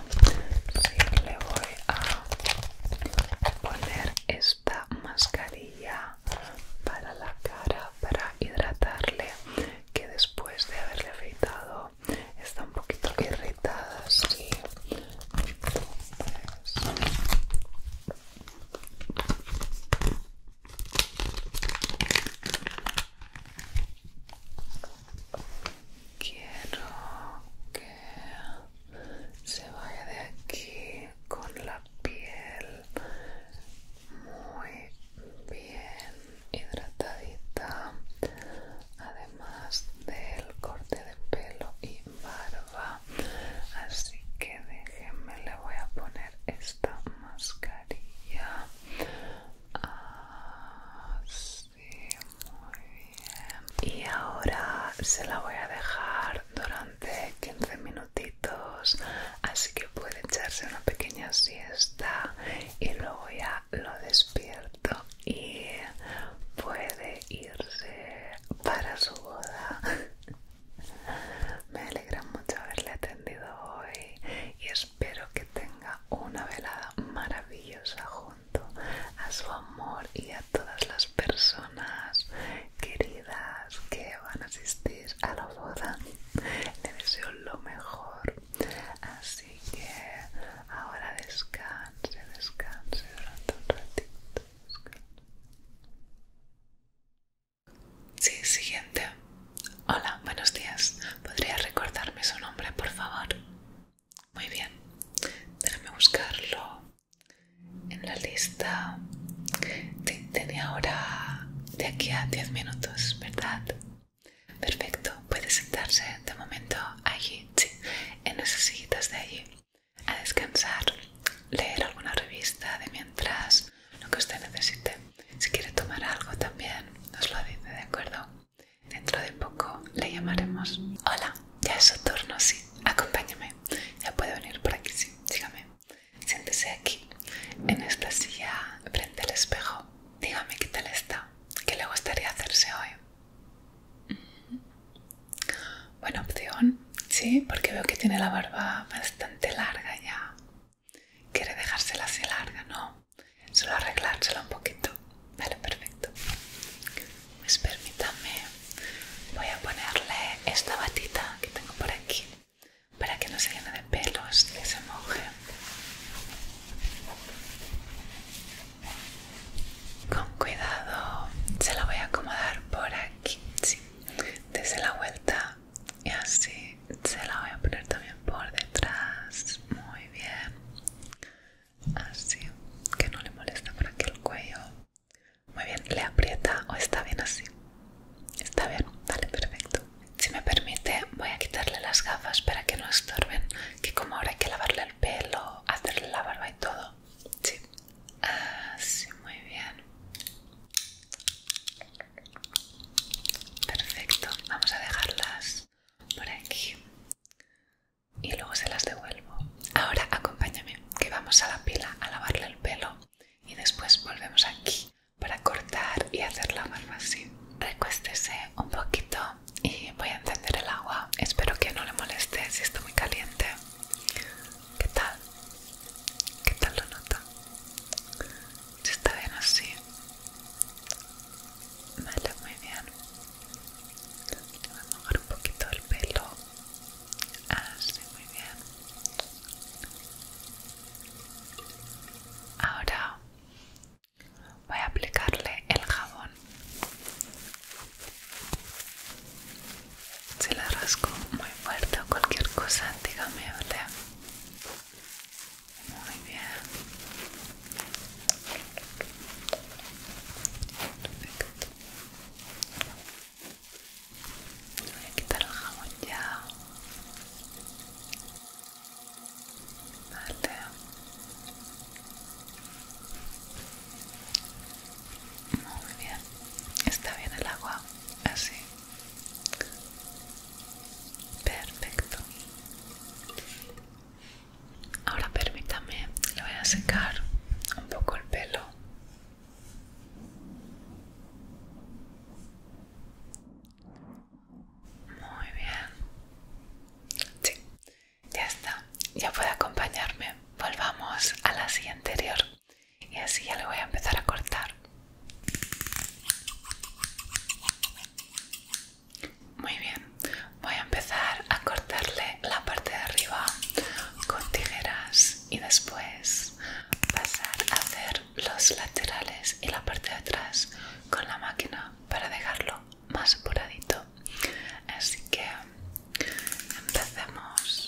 le voy a poner esta mascarilla para la cara para hidratarle que después de haberle afeitado está un poquito irritada, sí. Quiero que se vaya de aquí con la piel muy bien hidratadita además del corte de pelo y barba así que déjenme le voy a poner esta mascarilla así muy bien y ahora se la voy a dejar durante 15 minutitos así que puede echarse una pequeña siesta y luego ya lo despierto y puede irse para su boda. Me alegra mucho haberle atendido hoy y espero que tenga una velada maravillosa junto a su amor y a todas las personas queridas que van a asistir a la boda. Le deseo lo mejor Así que ahora descanse, descanse durante un ratito. Sí, siguiente. Hola, buenos días. ¿Podría recordarme su nombre, por favor? Muy bien. Déjame buscarlo en la lista. Tenía ahora de aquí a 10 minutos, ¿verdad? Perfecto, puede sentarse de momento allí, sí, en esas sillitas de allí, a descansar, leer alguna revista de mientras, lo que usted necesite. Si quiere tomar algo también, nos lo dice, ¿de acuerdo? Dentro de poco le llamaremos. Hola, ya es su turno, sí, acompáñame. Ya puede venir por aquí, sí, dígame. Siéntese aquí, en esta silla, frente al espejo. Dígame qué tal está, qué le gustaría hacerse hoy. Buena opción, sí, porque veo que tiene la barba bastante larga ya. Quiere dejársela así larga, ¿no? Solo arreglársela un poquito. Vale, perfecto. Pues permítame, voy a ponerle esta batita que tengo por aquí para que no se llene de pelos y se moje. Con cuidado se la voy a acomodar por aquí, Desde la vuelta y así se la voy a poner también por detrás. Muy bien. Así que no le molesta por aquí el cuello. Muy bien, le aprieta o está bien así. Está bien, vale, perfecto. Si me permite, voy a quitarle las gafas para que no estorben, que como ahora hay que lavarle pelo, hacerle la barba y todo. Sí. Así, ah, muy bien. Perfecto. Vamos a dejarlas por aquí. Y luego se las devuelvo. Ahora acompáñame, que vamos a la pila a lavarle el pelo. Y después volvemos aquí para cortar y hacer la barba así. Recuéstese un poquito y voy a encender el agua. Espero que no le moleste si está muy caliente. ¿Qué tal? ¿Qué tal lo nota? Si está bien así. Vale, muy bien. Le voy a mojar un poquito el pelo. Así, ah, muy bien. Ahora Voy a aplicarle el jabón. Si le rasco muy fuerte o cualquier cosa, dígame, ¿vale? Muy bien. Perfecto. Voy a quitar el jabón ya. Vale. Muy bien. Está bien el agua. Así. Perfecto. Ahora permítame, le voy a secar un poco el pelo. Muy bien. Sí, ya está, ya puede acompañarme. Volvamos a la silla anterior y así ya le voy a empezar a cortar. Muy bien, voy a empezar a cortarle la parte de arriba con tijeras y después pasar a hacer los laterales y la parte de atrás con la máquina para dejarlo más apuradito así que empecemos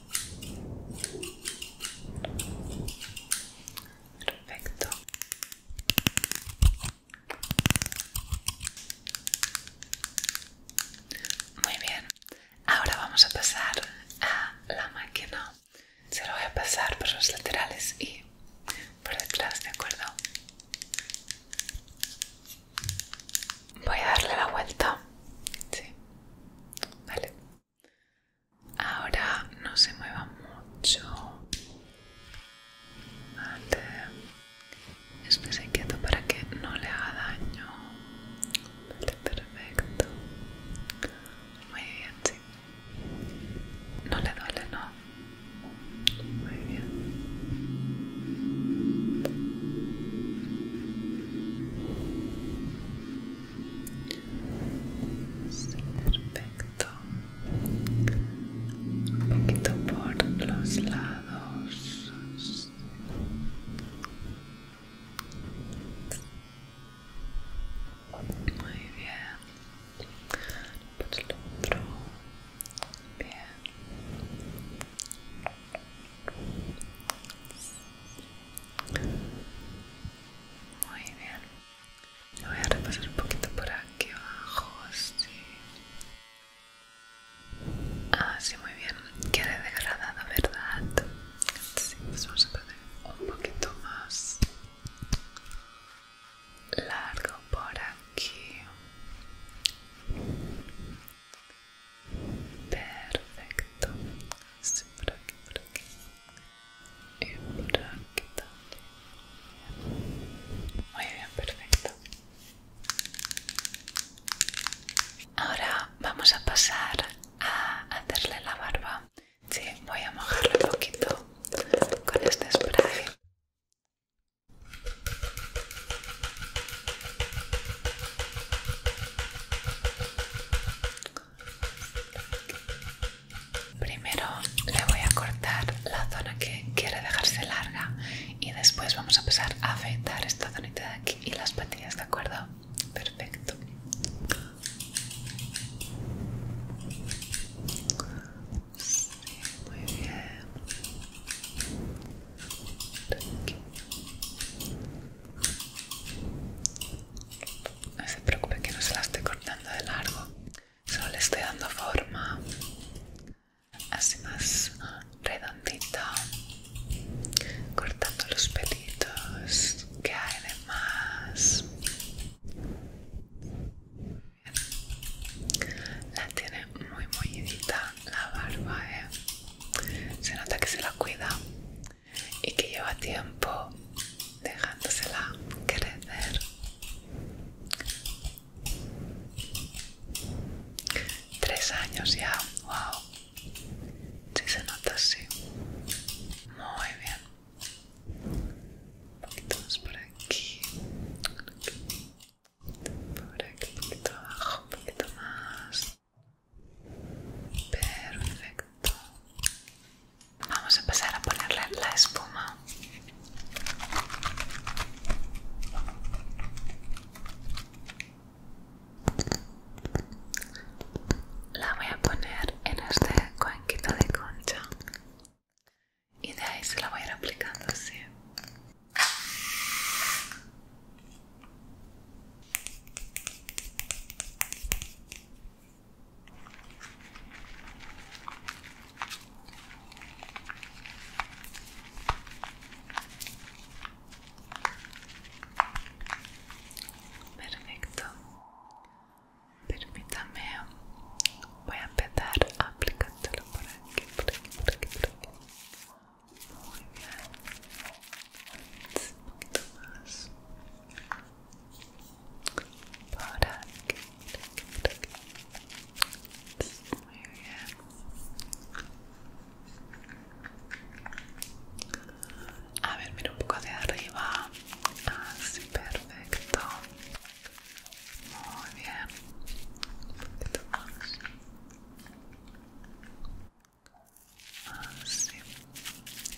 Perfecto. Muy bien. Ahora vamos a pasar a la máquina. Se lo voy a pasar por los laterales y por detrás, ¿de acuerdo? Voy a darle la vuelta. Sí. Vale. Ahora no se mueva mucho. Vale. espese quieto para que no le haga daño. Vale, perfecto. Muy bien, sí. No le duele, ¿no? Muy bien perfecto. Un poquito por los lados. Muy bien. Por el otro. Bien. Muy bien. voy a repasar un poquito por aquí abajo, así. Ah, muy bien. Queda degradada, ¿verdad? Sí, pues vamos a poner un poquito más largo por aquí. Perfecto. Así por aquí, por aquí. Y por aquí Muy bien, perfecto. Ahora vamos a pasar a hacerle la barba. Sí, voy a mojarle un poquito con este spray. Primero le voy a cortar la zona que quiere dejarse larga y después vamos a pasar a afeitar esta zonita de aquí y las patillas, ¿de acuerdo? Perfecto. muy bien. No se preocupe que no se la esté cortando de largo, solo le estoy dando forma así más redondita, cortando los pelitos que hay de más. La tiene muy mollidita la barba, eh. Se nota que se la cuida y que lleva tiempo dejándosela crecer. Tres años ya, wow. Si sí se nota así. Muy bien. Un poquito más por aquí. Por aquí, un poquito abajo, un poquito más. Perfecto. Vamos a empezar a ponerle la espuma. La voy a poner en este cuenquito de concha y de ahí se la voy a ir aplicando así. Perfecto. Permítame. Voy a empezar aplicándolo por aquí, por aquí, por aquí, por aquí. Muy bien un poquito más para aquí, para aquí, para aquí. muy bien a ver, mira un poco hacia arriba así, perfecto muy bien un poquito más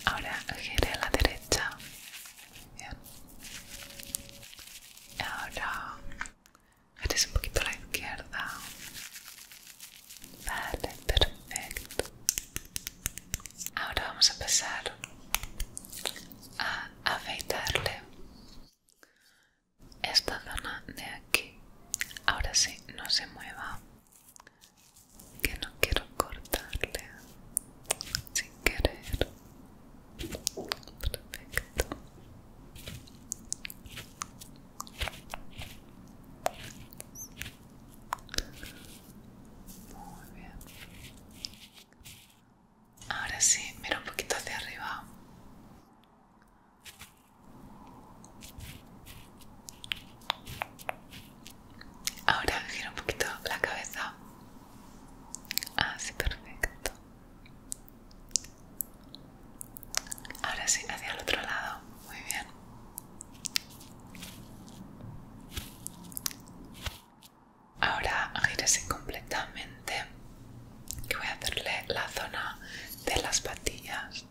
Ahora gire a la derecha. Bien. Ahora gire un poquito a la izquierda. Vale, perfecto. Ahora vamos a empezar a afeitarle esta zona de aquí. Ahora sí, no se mueva que no quiero cortarle sin querer perfecto muy bien ahora sí mira un poquito hacia arriba Ahora gira un poquito la cabeza. Así, ah, perfecto. Ahora sí, hacia el otro lado. Muy bien. Ahora gírese completamente. y voy a hacerle la zona de las patillas.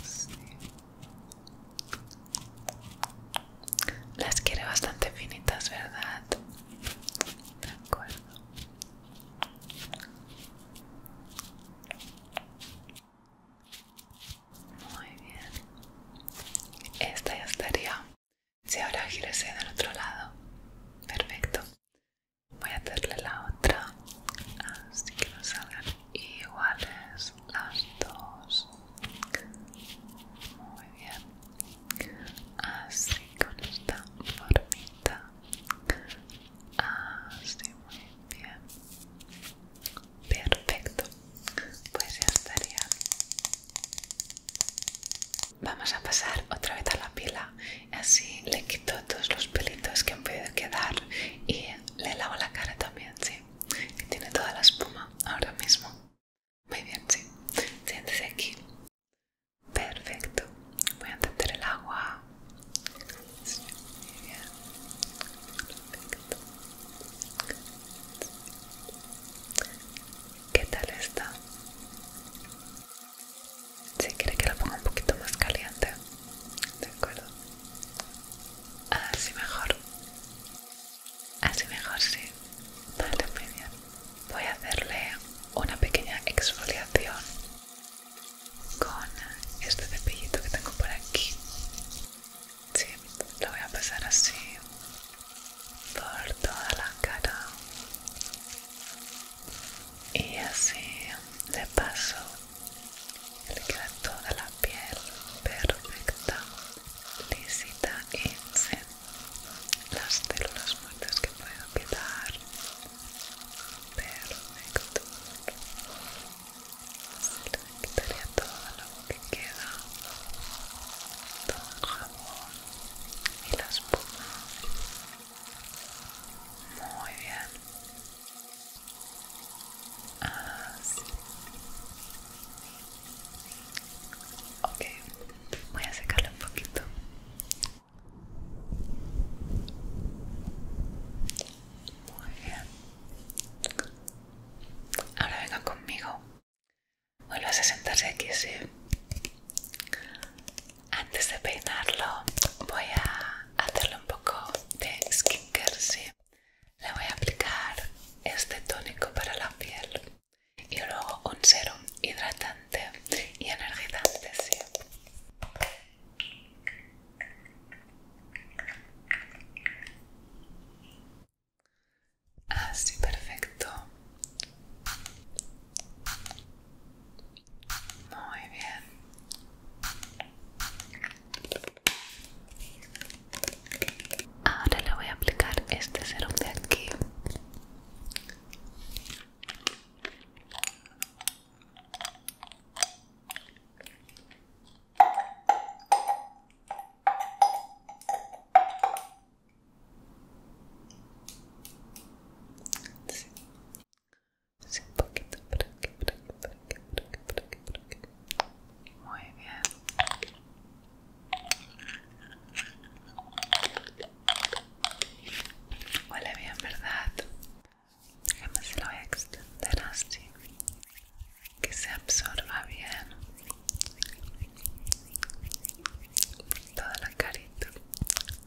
Así. Ah, Las quiere bastante finitas, ¿verdad? De acuerdo. Muy bien. Esta ya estaría. Si ahora gírese del otro lado. Perfecto. Voy a hacerle la otra. Así ah, que no salgan iguales las dos muy bien así con esta formita así muy bien perfecto pues ya estaría vamos a pasar otra vez a la pila Y así le quito todos los pelitos que han podido quedar y le lavo la cara también sí y tiene toda la espuma ahora mismo. Muy bien, sí. Siéntese aquí. Perfecto. Voy a entender el agua. muy bien. Perfecto. ¿Qué tal está? Si quiere que la ponga un poquito más caliente, de acuerdo. Así mejor. Así mejor, sí. Vale, Voy a hacerle una pequeña exfoliación con este cepillito que tengo por aquí. Sí, lo voy a pasar así por toda la cara. Y así de paso le queda toda la piel perfecta, lisita y sin las células muertas que puedan quedar. Perfecto. Se le quitaría todo lo que queda, todo el jabón y la espuma. Muy bien. Así. Ah, ok, voy a secarlo un poquito. Muy bien. Ahora venga conmigo. Vuelvas a sentarse aquí, sí. Antes de peinarlo, voy a hacerle un poco de skincare, sí. Le voy a aplicar este tónico para la piel y luego un serum hidratante y energizante, Así, ah, perfecto. Muy bien. Ahora le voy a aplicar este serum de aquí. así Sí, un poquito por aquí, por por aquí, por aquí, por aquí, por aquí, por aquí. Muy bien. Huele bien, ¿verdad? Déjame se lo voy a extender así. Que se absorba bien. Por toda la carita.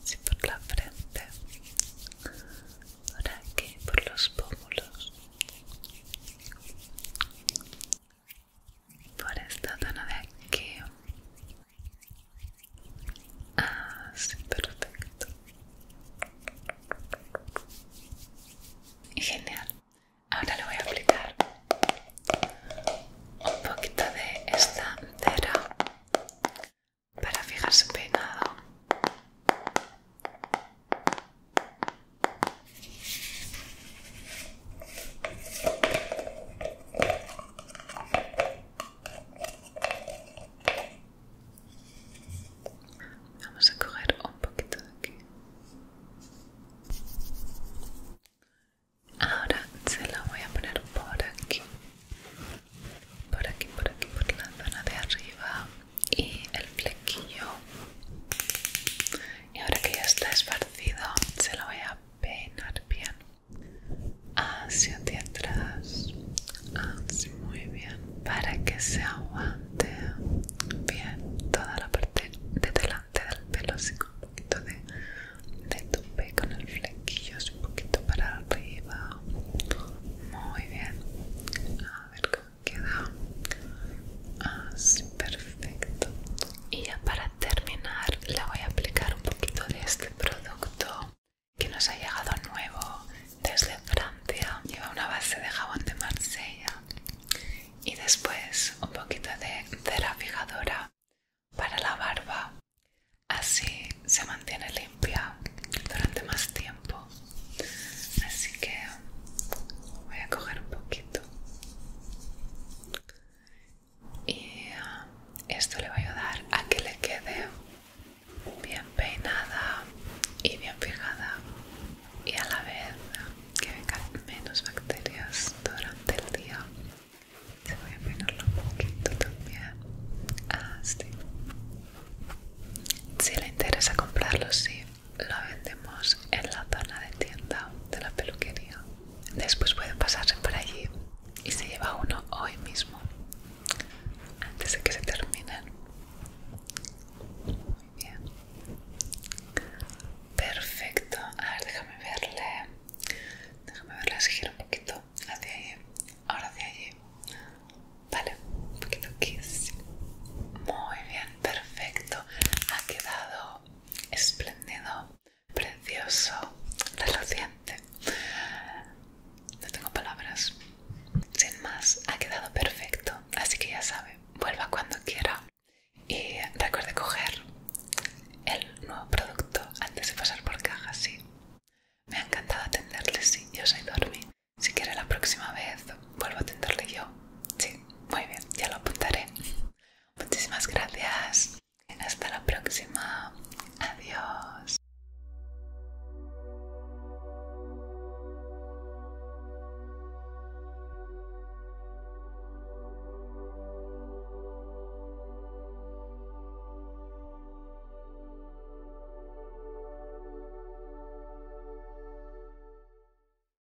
sí por la frente. Por aquí, por los pómulos por esta zona de aquí así ah, perfecto genial ahora le voy a aplicar un poquito de esta cera para fijar su peinado Vamos a coger un poquito de aquí. Ahora se la voy a poner por aquí. Por aquí, por aquí, por la zona de arriba y el flequillo y ahora que ya está esparcido se lo voy a peinar bien hacia atrás así muy bien para que se aguante bien toda la parte de delante del pelo así con un poquito de, de tupe con el flequillo así un poquito para arriba muy bien a ver cómo queda así perfecto y ya para terminar le voy a aplicar un poquito de este producto que nos ha llegado nuevo desde Francia lleva una base de jabón de Marsella y después un poquito de cera fijadora para la barba así se mantiene limpia durante más tiempo así que voy a coger un poquito y ah, esto le va a ayudar a que le quede bien peinada y bien fijada y a la vez que vengan menos bacterias durante el día se voy a peinarlo un poquito también así ah, si le interesa comprarlo sí lo vendemos en la zona de tienda de la peluquería. Después pueden pasarse por allí y se lleva uno hoy mismo, antes de que se terminen. Muy bien. Perfecto. A ver, déjame verle. Déjame verle, girar un poquito hacia allí. Ahora hacia allí. Vale, un poquito aquí. Muy bien, perfecto. Ha quedado espléndido, precioso, reluciente. No tengo palabras. Sin más, ha quedado perfecto, así que ya sabe, vuelva cuando quiera y recuerde coger el nuevo producto antes de pasar por caja, sí. Me ha encantado atenderle, sí, yo soy Dormi. Si quiere la próxima vez, vuelvo a atenderle yo Sí, muy bien, ya lo apuntaré. Muchísimas gracias. Y hasta la próxima. Adiós.